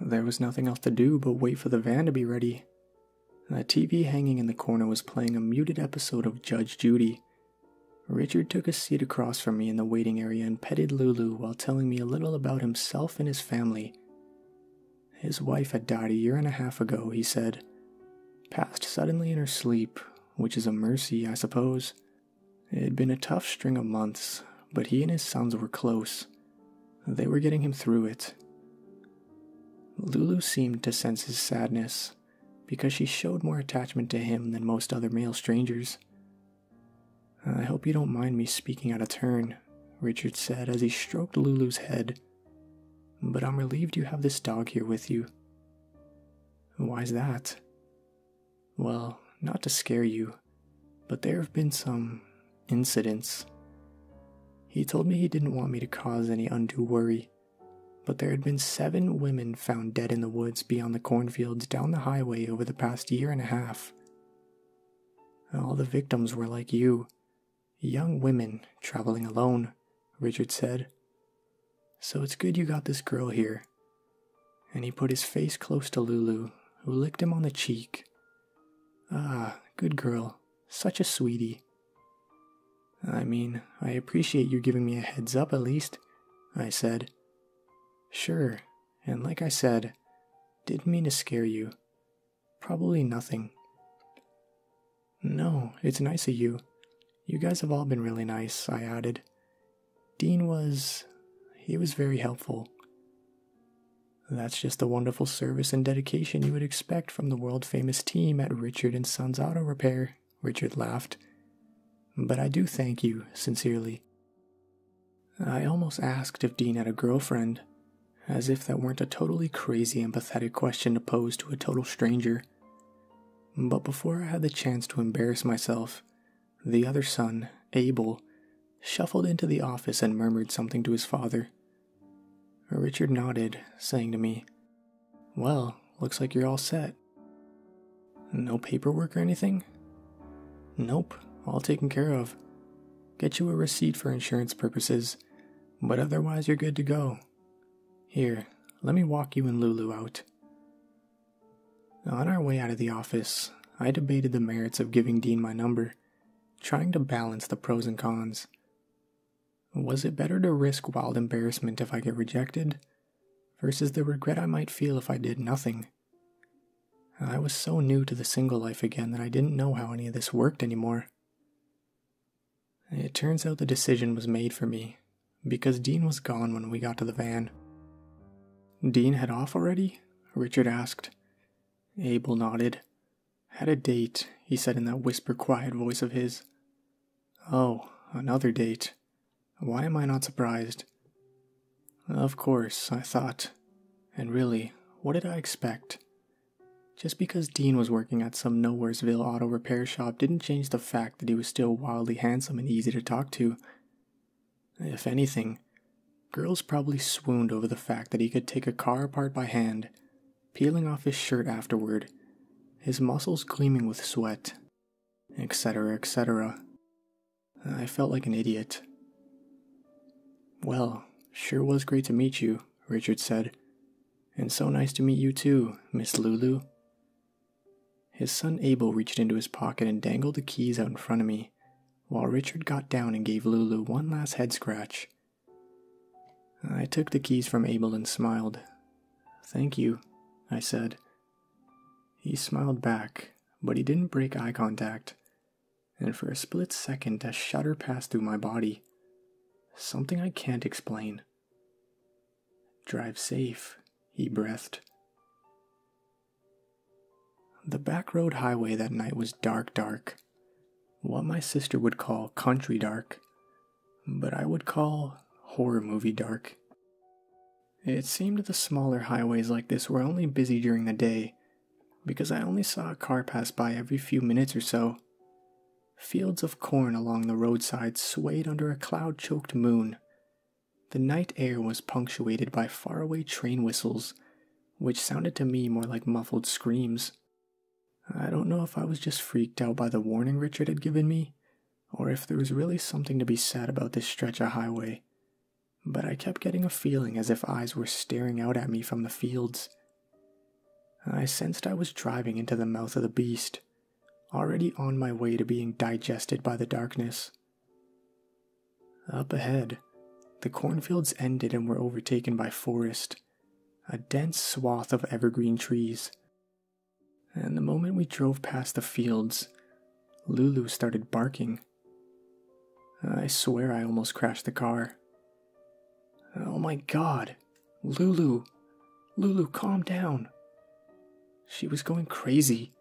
There was nothing else to do but wait for the van to be ready. The TV hanging in the corner was playing a muted episode of Judge Judy. Richard took a seat across from me in the waiting area and petted Lulu while telling me a little about himself and his family. His wife had died a year and a half ago, he said. Passed suddenly in her sleep, which is a mercy, I suppose. It had been a tough string of months, but he and his sons were close. They were getting him through it. Lulu seemed to sense his sadness, because she showed more attachment to him than most other male strangers. I hope you don't mind me speaking out of turn, Richard said as he stroked Lulu's head but I'm relieved you have this dog here with you. Why's that? Well, not to scare you, but there have been some incidents. He told me he didn't want me to cause any undue worry, but there had been seven women found dead in the woods beyond the cornfields down the highway over the past year and a half. All the victims were like you, Young women traveling alone, Richard said. So it's good you got this girl here. And he put his face close to Lulu, who licked him on the cheek. Ah, good girl, such a sweetie. I mean, I appreciate you giving me a heads up at least, I said. Sure, and like I said, didn't mean to scare you. Probably nothing. No, it's nice of you. You guys have all been really nice, I added. Dean was. he was very helpful. That's just the wonderful service and dedication you would expect from the world famous team at Richard and Sons Auto Repair, Richard laughed. But I do thank you, sincerely. I almost asked if Dean had a girlfriend, as if that weren't a totally crazy and pathetic question to pose to a total stranger. But before I had the chance to embarrass myself, the other son, Abel, shuffled into the office and murmured something to his father. Richard nodded, saying to me, Well, looks like you're all set. No paperwork or anything? Nope, all taken care of. Get you a receipt for insurance purposes, but otherwise you're good to go. Here, let me walk you and Lulu out. On our way out of the office, I debated the merits of giving Dean my number, trying to balance the pros and cons. Was it better to risk wild embarrassment if I get rejected, versus the regret I might feel if I did nothing? I was so new to the single life again that I didn't know how any of this worked anymore. It turns out the decision was made for me because Dean was gone when we got to the van. Dean had off already? Richard asked. Abel nodded. Had a date, he said in that whisper quiet voice of his. Oh, another date. Why am I not surprised? Of course, I thought. And really, what did I expect? Just because Dean was working at some Nowheresville auto repair shop didn't change the fact that he was still wildly handsome and easy to talk to. If anything, girls probably swooned over the fact that he could take a car apart by hand, peeling off his shirt afterward, his muscles gleaming with sweat, etc., etc. I felt like an idiot. Well, sure was great to meet you, Richard said, and so nice to meet you too, Miss Lulu. His son Abel reached into his pocket and dangled the keys out in front of me, while Richard got down and gave Lulu one last head scratch. I took the keys from Abel and smiled. Thank you, I said. He smiled back, but he didn't break eye contact, and for a split second a shudder passed through my body. Something I can't explain. Drive safe, he breathed. The back road highway that night was dark, dark. What my sister would call country dark, but I would call horror movie dark. It seemed the smaller highways like this were only busy during the day, because I only saw a car pass by every few minutes or so, Fields of corn along the roadside swayed under a cloud choked moon. The night air was punctuated by faraway train whistles, which sounded to me more like muffled screams. I don't know if I was just freaked out by the warning Richard had given me, or if there was really something to be said about this stretch of highway, but I kept getting a feeling as if eyes were staring out at me from the fields, I sensed I was driving into the mouth of the beast, already on my way to being digested by the darkness. Up ahead, the cornfields ended and were overtaken by forest, a dense swath of evergreen trees. And the moment we drove past the fields, Lulu started barking. I swear I almost crashed the car. Oh my god, Lulu, Lulu, calm down. She was going crazy,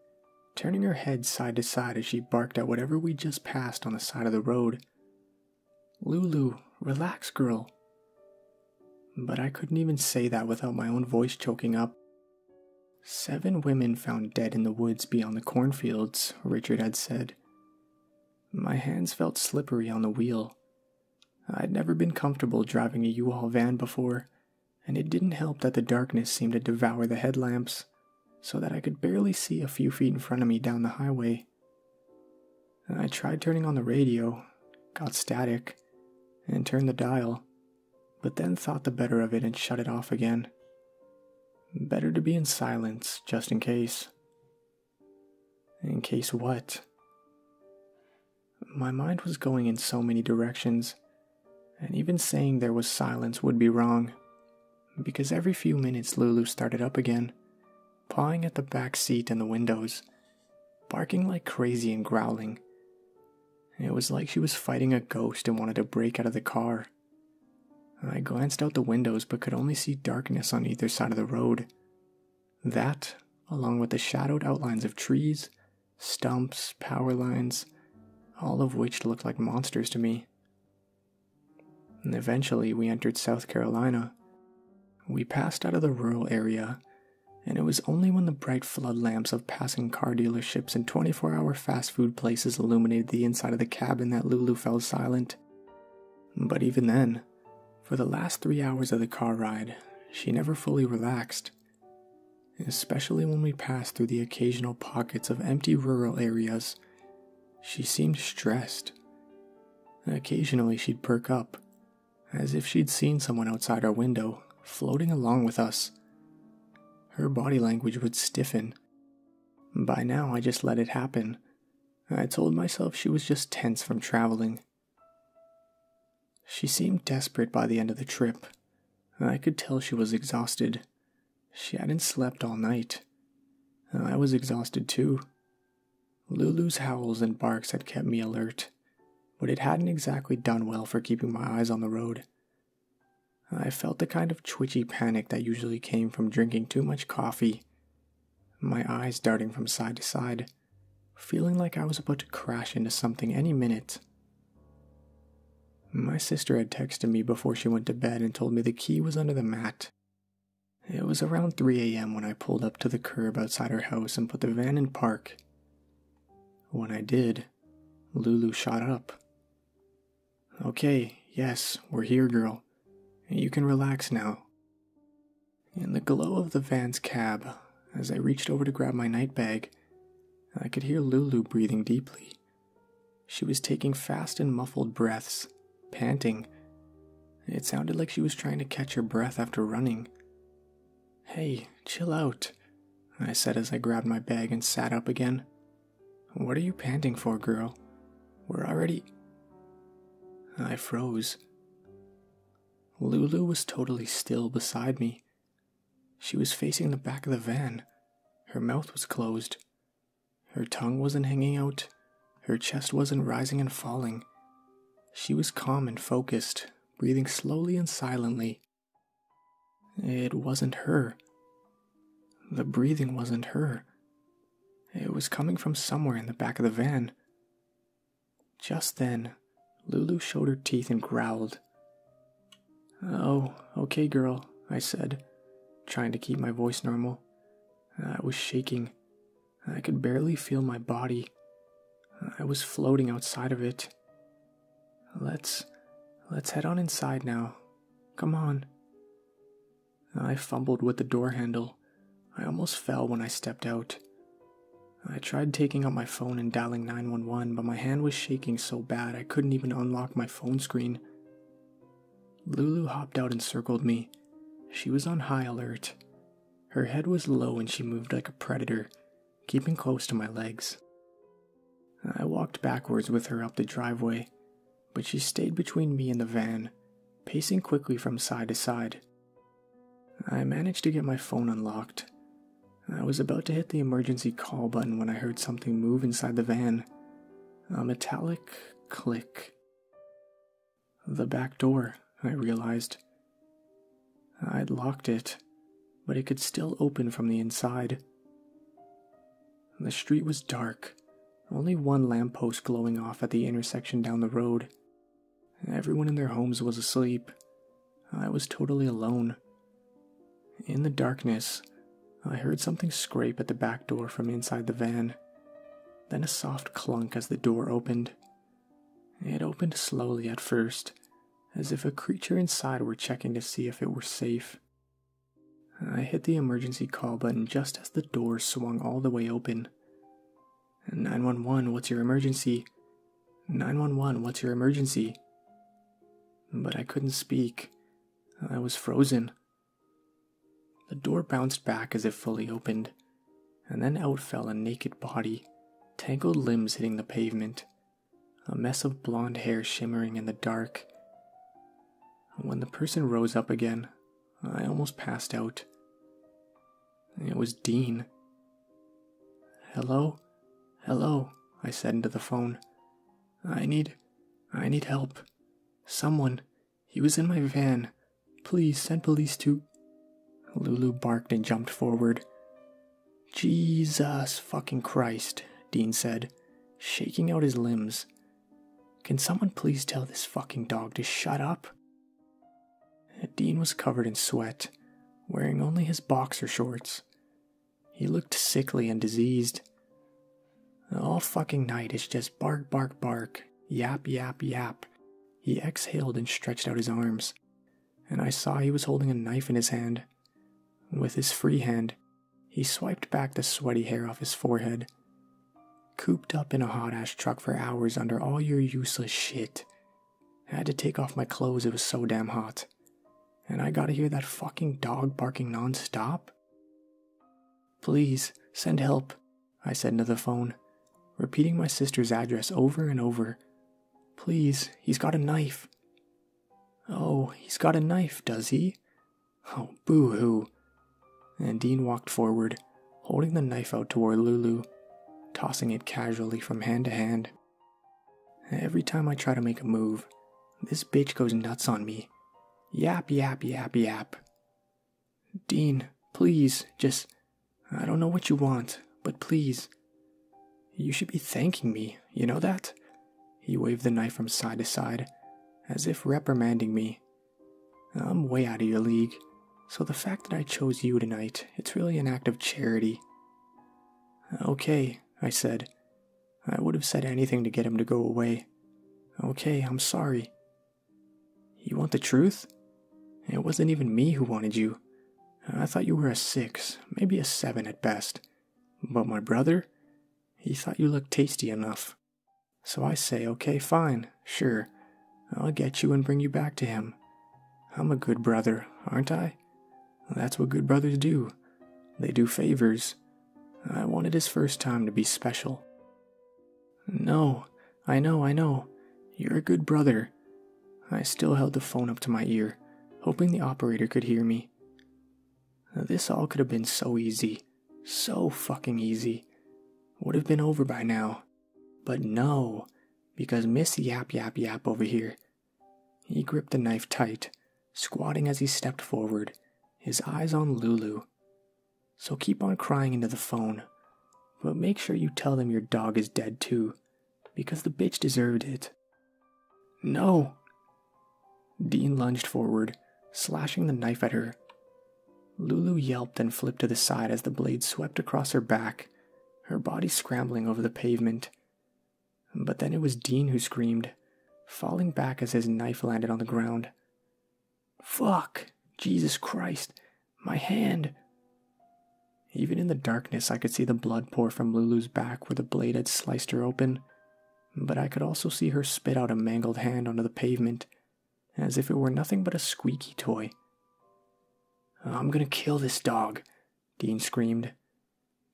turning her head side to side as she barked at whatever we just passed on the side of the road. Lulu, relax, girl. But I couldn't even say that without my own voice choking up. Seven women found dead in the woods beyond the cornfields, Richard had said. My hands felt slippery on the wheel. I'd never been comfortable driving a U Haul van before, and it didn't help that the darkness seemed to devour the headlamps, so that I could barely see a few feet in front of me down the highway. I tried turning on the radio, got static, and turned the dial, but then thought the better of it and shut it off again. Better to be in silence, just in case. In case what? My mind was going in so many directions, and even saying there was silence would be wrong, because every few minutes Lulu started up again, pawing at the back seat and the windows, barking like crazy and growling. It was like she was fighting a ghost and wanted to break out of the car. I glanced out the windows but could only see darkness on either side of the road, that, along with the shadowed outlines of trees, stumps, power lines, all of which looked like monsters to me. eventually, we entered South Carolina. We passed out of the rural area, and it was only when the bright flood lamps of passing car dealerships and 24 hour fast food places illuminated the inside of the cabin that Lulu fell silent. But even then, for the last three hours of the car ride, she never fully relaxed, especially when we passed through the occasional pockets of empty rural areas. She seemed stressed. Occasionally, she'd perk up, as if she'd seen someone outside our window, floating along with us. Her body language would stiffen. By now, I just let it happen. I told myself she was just tense from traveling she seemed desperate by the end of the trip. I could tell she was exhausted. She hadn't slept all night. I was exhausted too. Lulu's howls and barks had kept me alert, but it hadn't exactly done well for keeping my eyes on the road. I felt a kind of twitchy panic that usually came from drinking too much coffee, my eyes darting from side to side feeling like I was about to crash into something any minute. My sister had texted me before she went to bed and told me the key was under the mat. It was around 3 a.m. when I pulled up to the curb outside her house and put the van in park. When I did, Lulu shot up. Okay, yes, we're here, girl. You can relax now. In the glow of the van's cab, as I reached over to grab my night bag, I could hear Lulu breathing deeply. She was taking fast and muffled breaths, panting. It sounded like she was trying to catch her breath after running. Hey, chill out, I said as I grabbed my bag and sat up again. What are you panting for, girl? We're already. I froze. Lulu was totally still beside me. She was facing the back of the van. Her mouth was closed. Her tongue wasn't hanging out. Her chest wasn't rising and falling. She was calm and focused, breathing slowly and silently. It wasn't her. The breathing wasn't her. It was coming from somewhere in the back of the van. Just then, Lulu showed her teeth and growled. Oh, okay, girl, I said, trying to keep my voice normal. I was shaking. I could barely feel my body. I was floating outside of it. Let's let's head on inside now. Come on. I fumbled with the door handle, I almost fell when I stepped out. I tried taking out my phone and dialing 911, but my hand was shaking so bad I couldn't even unlock my phone screen. Lulu hopped out and circled me. She was on high alert. Her head was low and she moved like a predator, keeping close to my legs. I walked backwards with her up the driveway, but she stayed between me and the van, pacing quickly from side to side, I managed to get my phone unlocked. I was about to hit the emergency call button when I heard something move inside the van a metallic click. The back door, I realized. I'd locked it, but it could still open from the inside. The street was dark, only one lamppost glowing off at the intersection down the road, Everyone in their homes was asleep. I was totally alone. In the darkness, I heard something scrape at the back door from inside the van, then a soft clunk as the door opened. It opened slowly at first, as if a creature inside were checking to see if it were safe. I hit the emergency call button just as the door swung all the way open. 911, what's your emergency? 911, what's your emergency? But I couldn't speak. I was frozen. The door bounced back as if fully opened, and then out fell a naked body, tangled limbs hitting the pavement, a mess of blonde hair shimmering in the dark. When the person rose up again, I almost passed out. It was Dean. Hello? Hello, I said into the phone. I need. I need help. Someone. He was in my van. Please send police to. Lulu barked and jumped forward. Jesus fucking Christ, Dean said, shaking out his limbs. Can someone please tell this fucking dog to shut up? Dean was covered in sweat, wearing only his boxer shorts. He looked sickly and diseased. All fucking night it's just bark, bark, bark, yap, yap, yap. He exhaled and stretched out his arms, and I saw he was holding a knife in his hand. With his free hand, he swiped back the sweaty hair off his forehead. Cooped up in a hot ash truck for hours under all your useless shit, I had to take off my clothes, it was so damn hot. And I gotta hear that fucking dog barking nonstop? Please, send help, I said into the phone, repeating my sister's address over and over. Please, he's got a knife. Oh, he's got a knife, does he? Oh, boo hoo. And Dean walked forward, holding the knife out toward Lulu, tossing it casually from hand to hand. Every time I try to make a move, this bitch goes nuts on me. Yappy yappy yappy yap. Dean, please, just. I don't know what you want, but please. You should be thanking me, you know that? He waved the knife from side to side, as if reprimanding me. I'm way out of your league, so the fact that I chose you tonight, it's really an act of charity. Uh, okay, I said. I would have said anything to get him to go away. Okay, I'm sorry. You want the truth? It wasn't even me who wanted you. I thought you were a six, maybe a seven at best. But my brother? He thought you looked tasty enough. So I say, okay, fine, sure. I'll get you and bring you back to him. I'm a good brother, aren't I? That's what good brothers do. They do favors. I wanted his first time to be special. No, I know, I know. You're a good brother. I still held the phone up to my ear, hoping the operator could hear me. This all could have been so easy. So fucking easy. Would have been over by now. But no, because Miss Yap Yap Yap over here. He gripped the knife tight, squatting as he stepped forward, his eyes on Lulu. So keep on crying into the phone, but make sure you tell them your dog is dead too, because the bitch deserved it. No! Dean lunged forward, slashing the knife at her. Lulu yelped and flipped to the side as the blade swept across her back, her body scrambling over the pavement. But then it was Dean who screamed, falling back as his knife landed on the ground. Fuck! Jesus Christ! My hand! Even in the darkness, I could see the blood pour from Lulu's back where the blade had sliced her open, but I could also see her spit out a mangled hand onto the pavement, as if it were nothing but a squeaky toy. I'm gonna kill this dog. Dean screamed.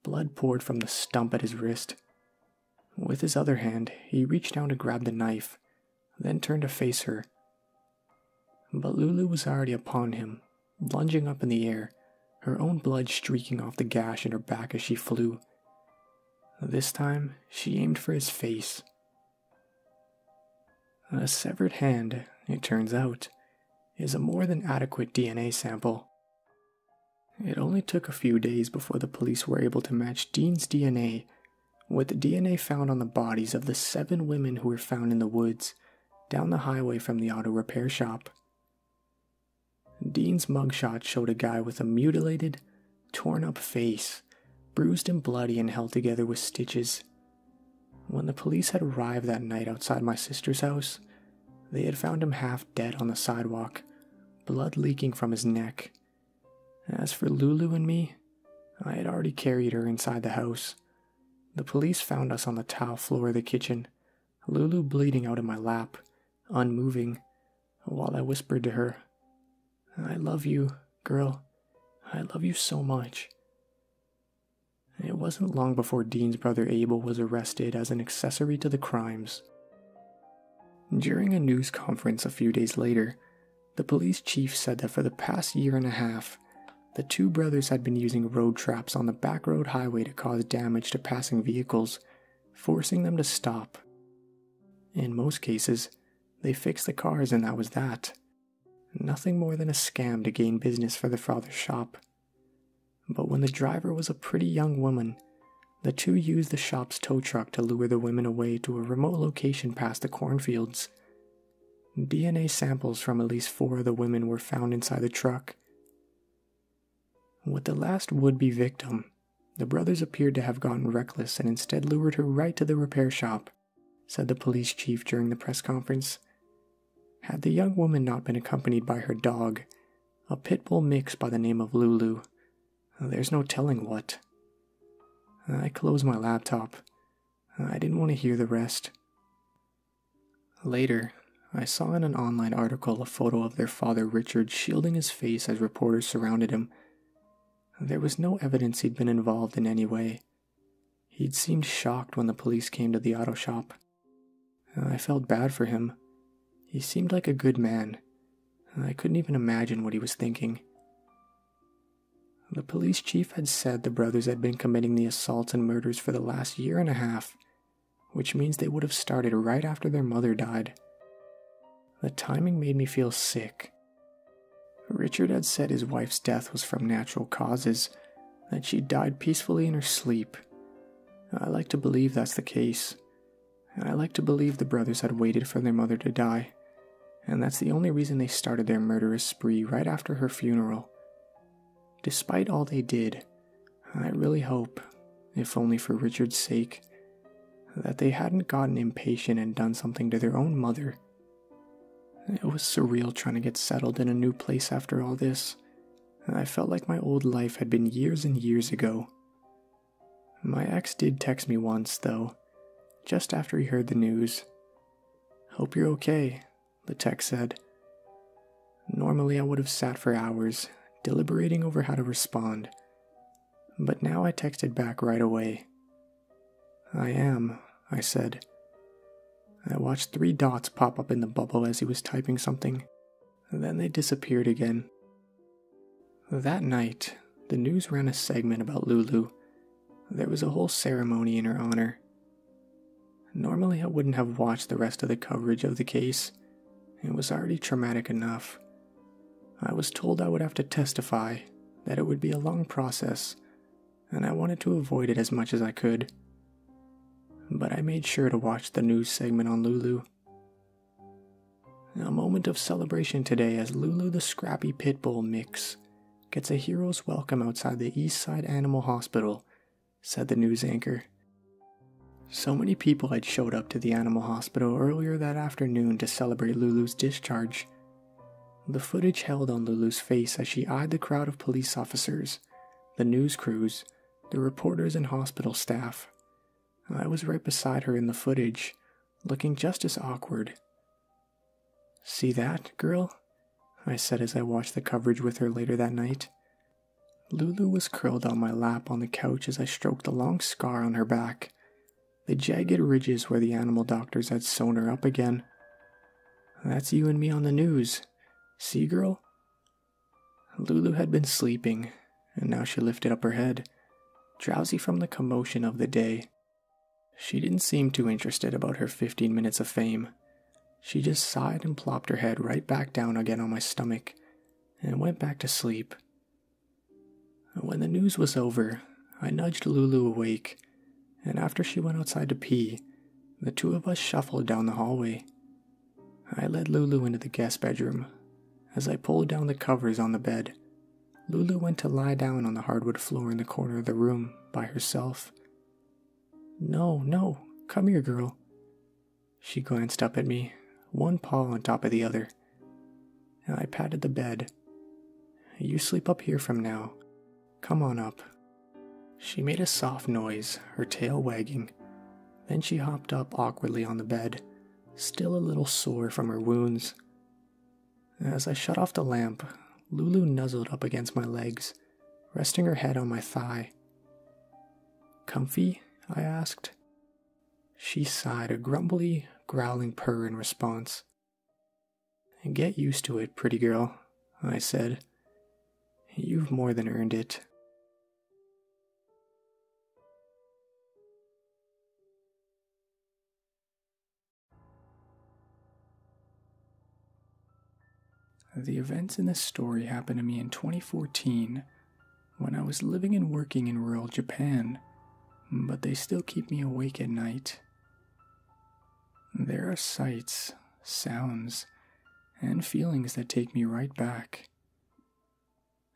Blood poured from the stump at his wrist. With his other hand, he reached down to grab the knife, then turned to face her. But Lulu was already upon him, lunging up in the air, her own blood streaking off the gash in her back as she flew. This time, she aimed for his face. A severed hand, it turns out, is a more than adequate DNA sample. It only took a few days before the police were able to match Dean's DNA with the DNA found on the bodies of the seven women who were found in the woods down the highway from the auto repair shop. Dean's mugshot showed a guy with a mutilated, torn up face, bruised and bloody and held together with stitches, when the police had arrived that night outside my sister's house, they had found him half dead on the sidewalk, blood leaking from his neck. As for Lulu and me, I had already carried her inside the house. The police found us on the tile floor of the kitchen, Lulu bleeding out in my lap, unmoving, while I whispered to her, I love you, girl. I love you so much. It wasn't long before Dean's brother Abel was arrested as an accessory to the crimes. During a news conference a few days later, the police chief said that for the past year and a half, the two brothers had been using road traps on the back road highway to cause damage to passing vehicles, forcing them to stop. In most cases, they fixed the cars and that was that. Nothing more than a scam to gain business for the father's shop. But when the driver was a pretty young woman, the two used the shop's tow truck to lure the women away to a remote location past the cornfields. DNA samples from at least four of the women were found inside the truck. With the last would be victim, the brothers appeared to have gotten reckless and instead lured her right to the repair shop, said the police chief during the press conference. Had the young woman not been accompanied by her dog, a pit bull mix by the name of Lulu, there's no telling what. I closed my laptop. I didn't want to hear the rest. Later, I saw in an online article a photo of their father Richard shielding his face as reporters surrounded him. There was no evidence he'd been involved in any way, He'd seemed shocked when the police came to the auto shop. Uh, I felt bad for him. He seemed like a good man. I couldn't even imagine what he was thinking. The police chief had said the brothers had been committing the assaults and murders for the last year and a half, which means they would have started right after their mother died. The timing made me feel sick. Richard had said his wife's death was from natural causes, that she died peacefully in her sleep. I like to believe that's the case. I like to believe the brothers had waited for their mother to die, and that's the only reason they started their murderous spree right after her funeral. Despite all they did, I really hope, if only for Richard's sake, that they hadn't gotten impatient and done something to their own mother. It was surreal trying to get settled in a new place after all this house, I felt like my old life had been years and years ago. My ex did text me once, though, just after he heard the news. Hope you're okay, the text said. Normally, I would have sat for hours, deliberating over how to respond, but now I texted back right away. I am, I said. I watched three dots pop up in the bubble as he was typing something, then they disappeared again. That night, the news ran a segment about Lulu. There was a whole ceremony in her honor. Normally, I wouldn't have watched the rest of the coverage of the case. It was already traumatic enough. I was told I would have to testify, that it would be a long process, and I wanted to avoid it as much as I could. But I made sure to watch the news segment on Lulu. A moment of celebration today as Lulu the Scrappy pit bull mix gets a hero's welcome outside the Eastside Animal Hospital, said the news anchor. So many people had showed up to the animal hospital earlier that afternoon to celebrate Lulu's discharge. The footage held on Lulu's face as she eyed the crowd of police officers the news crews, the reporters, and hospital staff. I was right beside her in the footage, looking just as awkward. See that, girl? I said as I watched the coverage with her later that night. Lulu was curled on my lap on the couch as I stroked the long scar on her back, the jagged ridges where the animal doctors had sewn her up again. That's you and me on the news. See, girl? Lulu had been sleeping, and now she lifted up her head, drowsy from the commotion of the day. She didn't seem too interested about her 15 minutes of fame. She just sighed and plopped her head right back down again on my stomach and went back to sleep. When the news was over, I nudged Lulu awake, and after she went outside to pee, the two of us shuffled down the hallway. I led Lulu into the guest bedroom. As I pulled down the covers on the bed, Lulu went to lie down on the hardwood floor in the corner of the room by herself. No, no, come here, girl. She glanced up at me, one paw on top of the other. I patted the bed. You sleep up here from now. Come on up. She made a soft noise, her tail wagging. Then she hopped up awkwardly on the bed, still a little sore from her wounds. As I shut off the lamp, Lulu nuzzled up against my legs, resting her head on my thigh. Comfy? I asked. She sighed a grumbly, growling purr in response. Get used to it, pretty girl, I said, You've more than earned it. The events in this story happened to me in 2014 when I was living and working in rural Japan, but they still keep me awake at night. There are sights, sounds, and feelings that take me right back.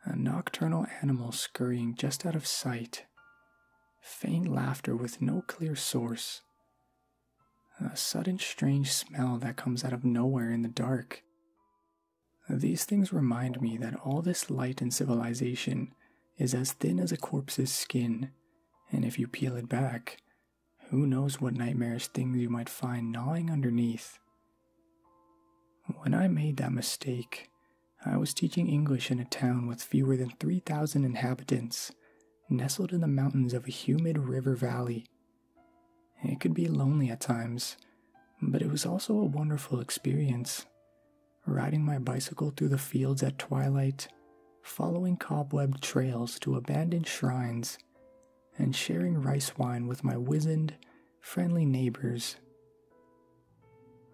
A nocturnal animal scurrying just out of sight, faint laughter with no clear source, a sudden strange smell that comes out of nowhere in the dark. These things remind me that all this light and civilization is as thin as a corpse's skin, and if you peel it back, who knows what nightmarish things you might find gnawing underneath? When I made that mistake, I was teaching English in a town with fewer than 3,000 inhabitants, nestled in the mountains of a humid river valley. It could be lonely at times, but it was also a wonderful experience. Riding my bicycle through the fields at twilight, following cobwebbed trails to abandoned shrines, and sharing rice wine with my wizened, friendly neighbors.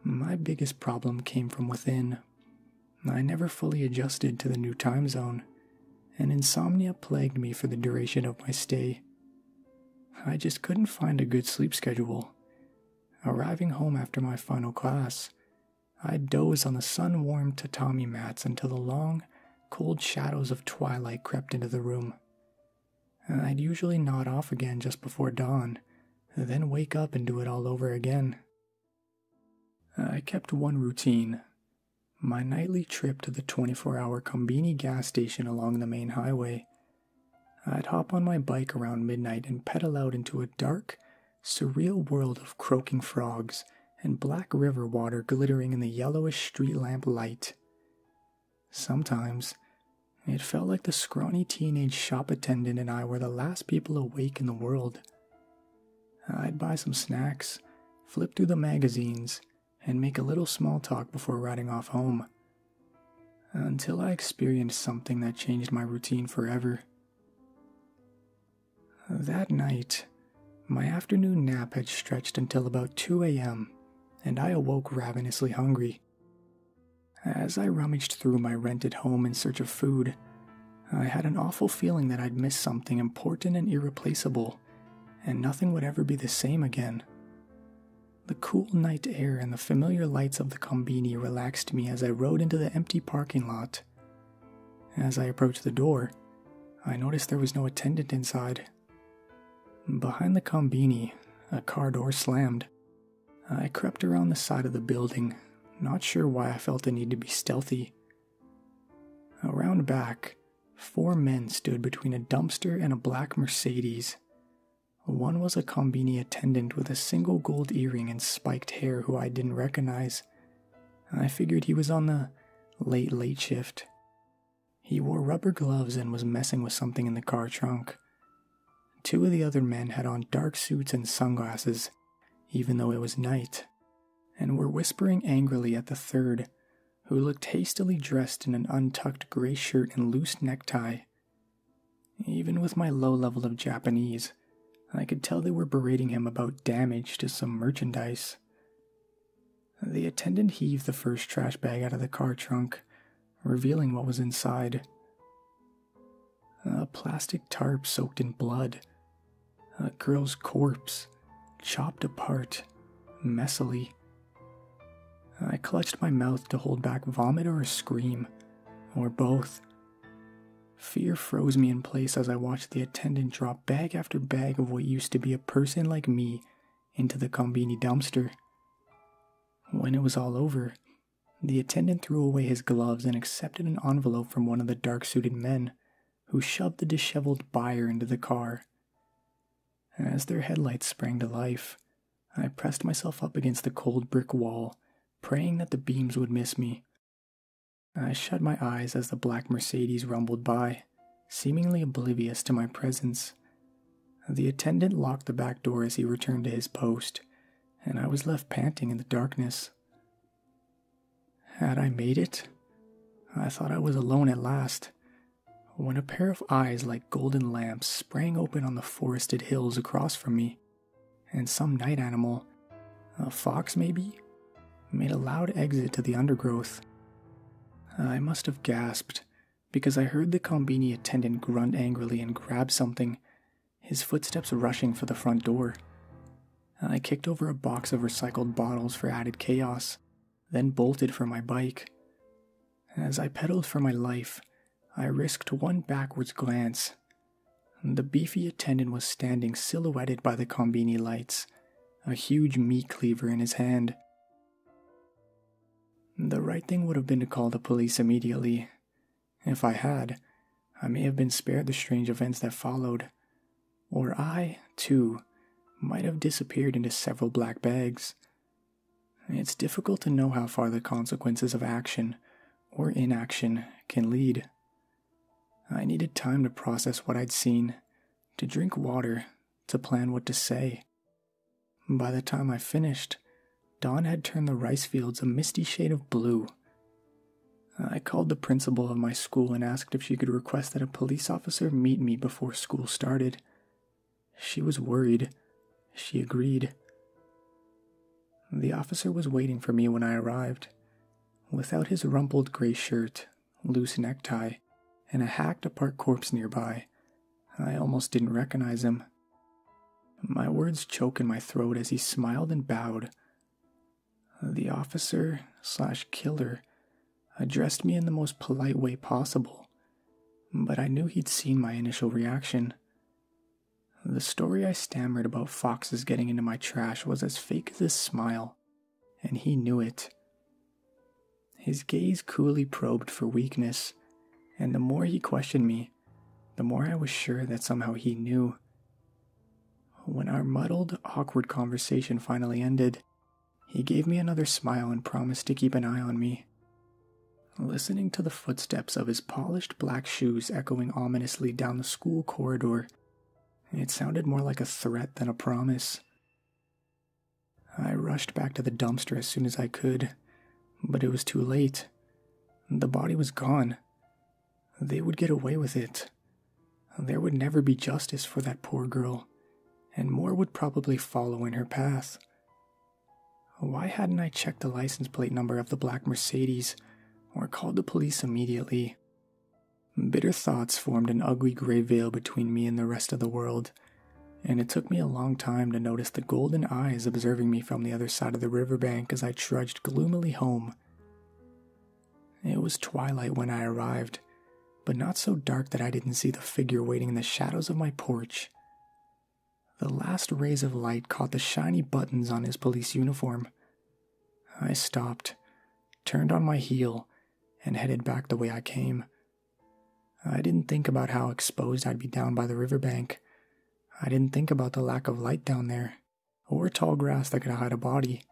My biggest problem came from within. I never fully adjusted to the new time zone, and insomnia plagued me for the duration of my stay. I just couldn't find a good sleep schedule. Arriving home after my final class, I'd doze on the sun warmed tatami mats until the long, cold shadows of twilight crept into the room. I'd usually nod off again just before dawn, then wake up and do it all over again. I kept one routine my nightly trip to the 24 hour Combini gas station along the main highway. I'd hop on my bike around midnight and pedal out into a dark, surreal world of croaking frogs and black river water glittering in the yellowish street lamp light. Sometimes, it felt like the scrawny teenage shop attendant and I were the last people awake in the world. I'd buy some snacks, flip through the magazines, and make a little small talk before riding off home. Until I experienced something that changed my routine forever. That night, my afternoon nap had stretched until about 2 a.m., and I awoke ravenously hungry. As I rummaged through my rented home in search of food, I had an awful feeling that I'd missed something important and irreplaceable, and nothing would ever be the same again. The cool night air and the familiar lights of the Combini relaxed me as I rode into the empty parking lot. As I approached the door, I noticed there was no attendant inside. Behind the combini, a car door slammed. I crept around the side of the building, not sure why I felt the need to be stealthy. Around back, four men stood between a dumpster and a black Mercedes. One was a combini attendant with a single gold earring and spiked hair who I didn't recognize. I figured he was on the late, late shift. He wore rubber gloves and was messing with something in the car trunk. Two of the other men had on dark suits and sunglasses, even though it was night, and were whispering angrily at the third, who looked hastily dressed in an untucked gray shirt and loose necktie. Even with my low level of Japanese, I could tell they were berating him about damage to some merchandise. The attendant heaved the first trash bag out of the car trunk, revealing what was inside a plastic tarp soaked in blood, a girl's corpse, chopped apart, messily. I clutched my mouth to hold back vomit or a scream, or both. Fear froze me in place as I watched the attendant drop bag after bag of what used to be a person like me into the Combini dumpster. When it was all over, the attendant threw away his gloves and accepted an envelope from one of the dark suited men, who shoved the disheveled buyer into the car. As their headlights sprang to life, I pressed myself up against the cold brick wall, praying that the beams would miss me. I shut my eyes as the black Mercedes rumbled by seemingly oblivious to my presence. The attendant locked the back door as he returned to his post, and I was left panting in the darkness. Had I made it? I thought I was alone at last, when a pair of eyes like golden lamps sprang open on the forested hills across from me, and some night animal, a fox maybe, made a loud exit to the undergrowth. I must have gasped, because I heard the Combini attendant grunt angrily and grab something, his footsteps rushing for the front door. I kicked over a box of recycled bottles for added chaos, then bolted for my bike. As I pedaled for my life, I risked one backwards glance. The beefy attendant was standing silhouetted by the Combini lights, a huge meat cleaver in his hand. The right thing would have been to call the police immediately. If I had, I may have been spared the strange events that followed, or I, too, might have disappeared into several black bags. It's difficult to know how far the consequences of action or inaction can lead. I needed time to process what I'd seen, to drink water, to plan what to say. By the time I finished, dawn had turned the rice fields a misty shade of blue. I called the principal of my school and asked if she could request that a police officer meet me before school started. She was worried. She agreed. The officer was waiting for me when I arrived. Without his rumpled gray shirt, loose necktie, and a hacked apart corpse nearby. I almost didn't recognize him. My words choked in my throat as he smiled and bowed. The officer slash killer addressed me in the most polite way possible, but I knew he'd seen my initial reaction. The story I stammered about foxes getting into my trash was as fake as his smile, and he knew it. His gaze coolly probed for weakness, and the more he questioned me, the more I was sure that somehow he knew. When our muddled, awkward conversation finally ended, he gave me another smile and promised to keep an eye on me. Listening to the footsteps of his polished black shoes echoing ominously down the school corridor, it sounded more like a threat than a promise. I rushed back to the dumpster as soon as I could, but it was too late. The body was gone. They would get away with it. There would never be justice for that poor girl, and more would probably follow in her path. Why hadn't I checked the license plate number of the black Mercedes or called the police immediately? Bitter thoughts formed an ugly gray veil between me and the rest of the world and it took me a long time to notice the golden eyes observing me from the other side of the riverbank as I trudged gloomily home. It was twilight when I arrived, but not so dark that I didn't see the figure waiting in the shadows of my porch. The last rays of light caught the shiny buttons on his police uniform. I stopped, turned on my heel, and headed back the way I came, I didn't think about how exposed I'd be down by the riverbank. I didn't think about the lack of light down there, or tall grass that could hide a body.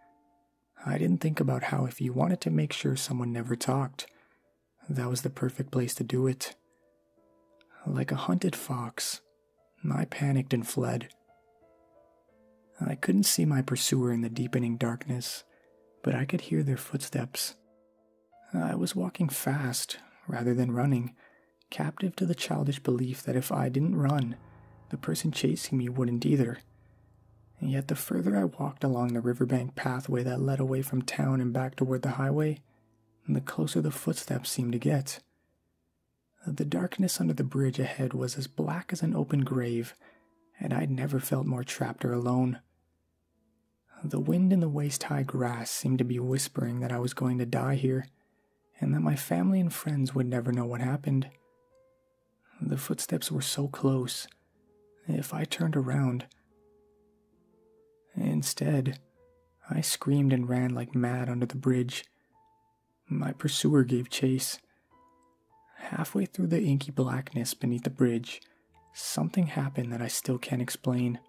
I didn't think about how if you wanted to make sure someone never talked, that was the perfect place to do it. Like a hunted fox, I panicked and fled. I couldn't see my pursuer in the deepening darkness, but I could hear their footsteps. I was walking fast rather than running, captive to the childish belief that if I didn't run, the person chasing me wouldn't either. And yet, the further I walked along the riverbank pathway that led away from town and back toward the highway, the closer the footsteps seemed to get. The darkness under the bridge ahead was as black as an open grave, and I'd never felt more trapped or alone. The wind in the waist high grass seemed to be whispering that I was going to die here, and that my family and friends would never know what happened. The footsteps were so close, if I turned around. Instead, I screamed and ran like mad under the bridge. My pursuer gave chase, Halfway through the inky blackness beneath the bridge, something happened that I still can't explain.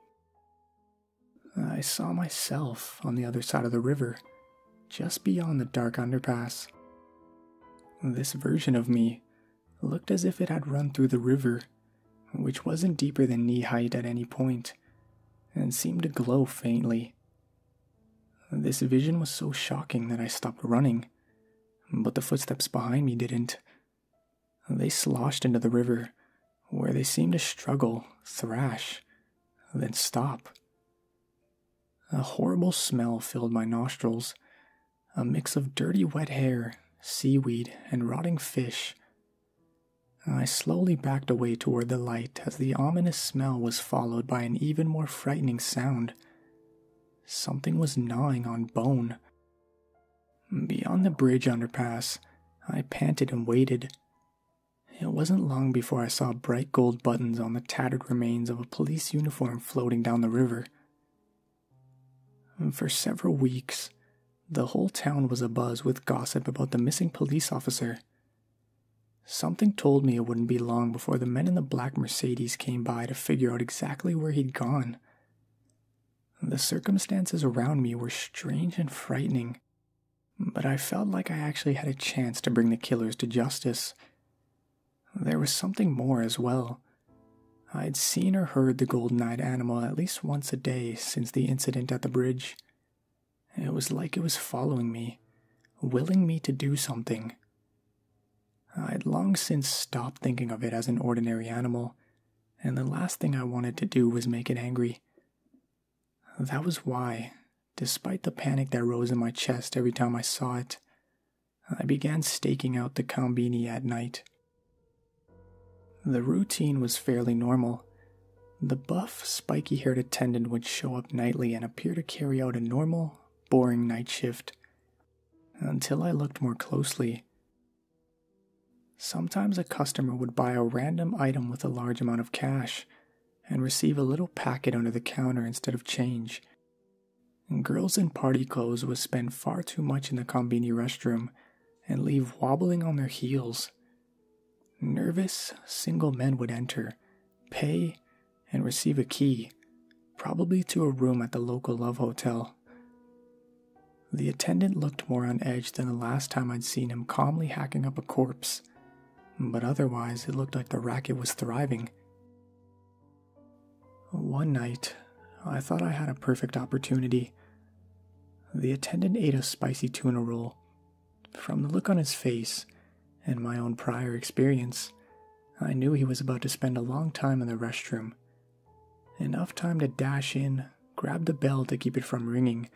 I saw myself on the other side of the river, just beyond the dark underpass. This version of me looked as if it had run through the river, which wasn't deeper than knee height at any point, and seemed to glow faintly. This vision was so shocking that I stopped running, but the footsteps behind me didn't, they sloshed into the river, where they seemed to struggle, thrash, then stop. A horrible smell filled my nostrils, a mix of dirty wet hair, seaweed, and rotting fish. I slowly backed away toward the light as the ominous smell was followed by an even more frightening sound. Something was gnawing on bone, Beyond the bridge underpass, I panted and waited. It wasn't long before I saw bright gold buttons on the tattered remains of a police uniform floating down the river. For several weeks, the whole town was abuzz with gossip about the missing police officer. Something told me it wouldn't be long before the men in the black Mercedes came by to figure out exactly where he'd gone. The circumstances around me were strange and frightening, but I felt like I actually had a chance to bring the killers to justice. There was something more as well. I'd seen or heard the golden eyed animal at least once a day since the incident at the bridge. It was like it was following me, willing me to do something. I had long since stopped thinking of it as an ordinary animal, and the last thing I wanted to do was make it angry. That was why, despite the panic that rose in my chest every time I saw it, I began staking out the Combini at night. The routine was fairly normal. The buff, spiky haired attendant would show up nightly and appear to carry out a normal, boring night shift. Until I looked more closely Sometimes a customer would buy a random item with a large amount of cash and receive a little packet under the counter instead of change. Girls in party clothes would spend far too much in the combini restroom and leave wobbling on their heels. Nervous, single men would enter, pay, and receive a key, probably to a room at the local love hotel. The attendant looked more on edge than the last time I'd seen him calmly hacking up a corpse, but otherwise it looked like the racket was thriving. One night, I thought I had a perfect opportunity. The attendant ate a spicy tuna roll. From the look on his face and my own prior experience, I knew he was about to spend a long time in the restroom Enough time to dash in, grab the bell to keep it from ringing,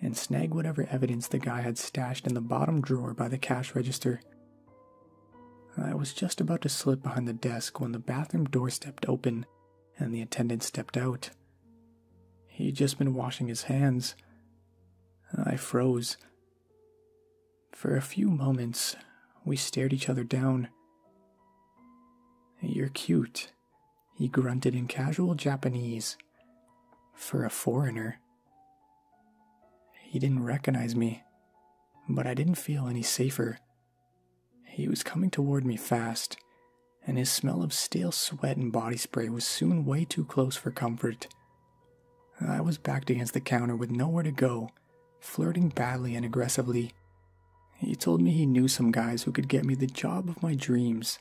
and snag whatever evidence the guy had stashed in the bottom drawer by the cash register. I was just about to slip behind the desk when the bathroom door stepped open and the attendant stepped out. He'd just been washing his hands. I froze. For a few moments, we stared each other down, you're cute, he grunted in casual Japanese. For a foreigner. He didn't recognize me, but I didn't feel any safer. He was coming toward me fast, and his smell of stale sweat and body spray was soon way too close for comfort. I was backed against the counter with nowhere to go, flirting badly and aggressively. He told me he knew some guys who could get me the job of my dreams.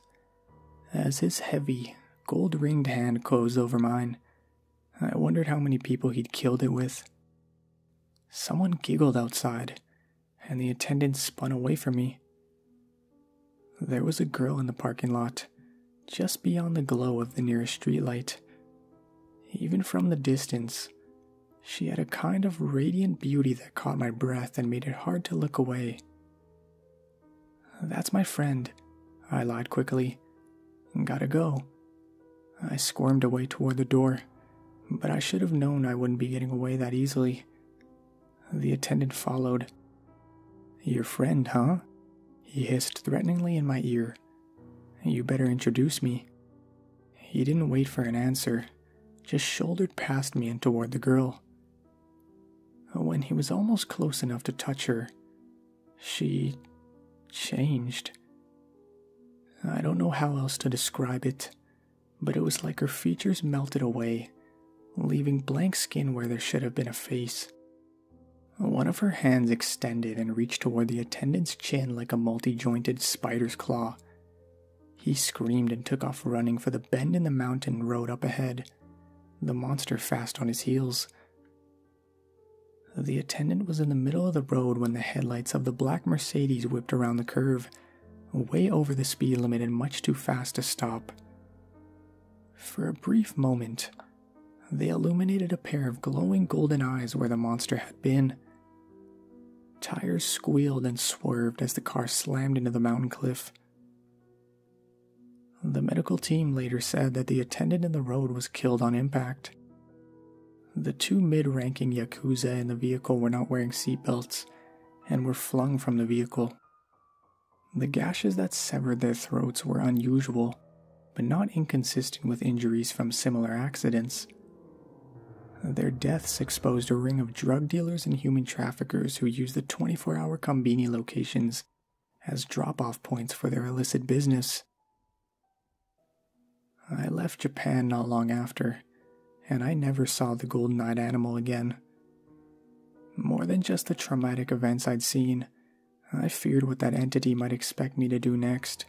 As his heavy, gold ringed hand closed over mine, I wondered how many people he'd killed it with. Someone giggled outside, and the attendant spun away from me. There was a girl in the parking lot, just beyond the glow of the nearest streetlight, even from the distance, she had a kind of radiant beauty that caught my breath and made it hard to look away. That's my friend, I lied quickly. Gotta go. I squirmed away toward the door, but I should have known I wouldn't be getting away that easily. The attendant followed. Your friend, huh? He hissed threateningly in my ear. You better introduce me. He didn't wait for an answer, just shouldered past me and toward the girl. When he was almost close enough to touch her, she changed. I don't know how else to describe it, but it was like her features melted away, leaving blank skin where there should have been a face. One of her hands extended and reached toward the attendant's chin like a multi jointed spider's claw, he screamed and took off running for the bend in the mountain road up ahead, the monster fast on his heels. The attendant was in the middle of the road when the headlights of the black Mercedes whipped around the curve, way over the speed limit and much too fast to stop. For a brief moment, they illuminated a pair of glowing golden eyes where the monster had been, Tires squealed and swerved as the car slammed into the mountain cliff. The medical team later said that the attendant in the road was killed on impact. The two mid ranking Yakuza in the vehicle were not wearing seatbelts and were flung from the vehicle. The gashes that severed their throats were unusual, but not inconsistent with injuries from similar accidents, their deaths exposed a ring of drug dealers and human traffickers who used the 24 hour Combini locations as drop off points for their illicit business. I left Japan not long after, and I never saw the golden eyed animal again. More than just the traumatic events I'd seen, I feared what that entity might expect me to do next.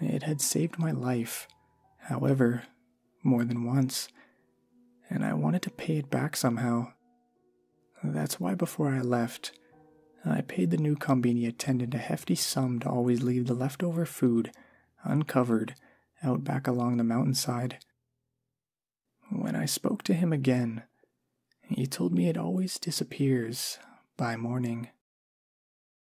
It had saved my life, however, more than once, and I wanted to pay it back somehow. That's why before I left, I paid the new Combini attendant a hefty sum to always leave the leftover food, uncovered, out back along the mountainside. When I spoke to him again, he told me it always disappears by morning.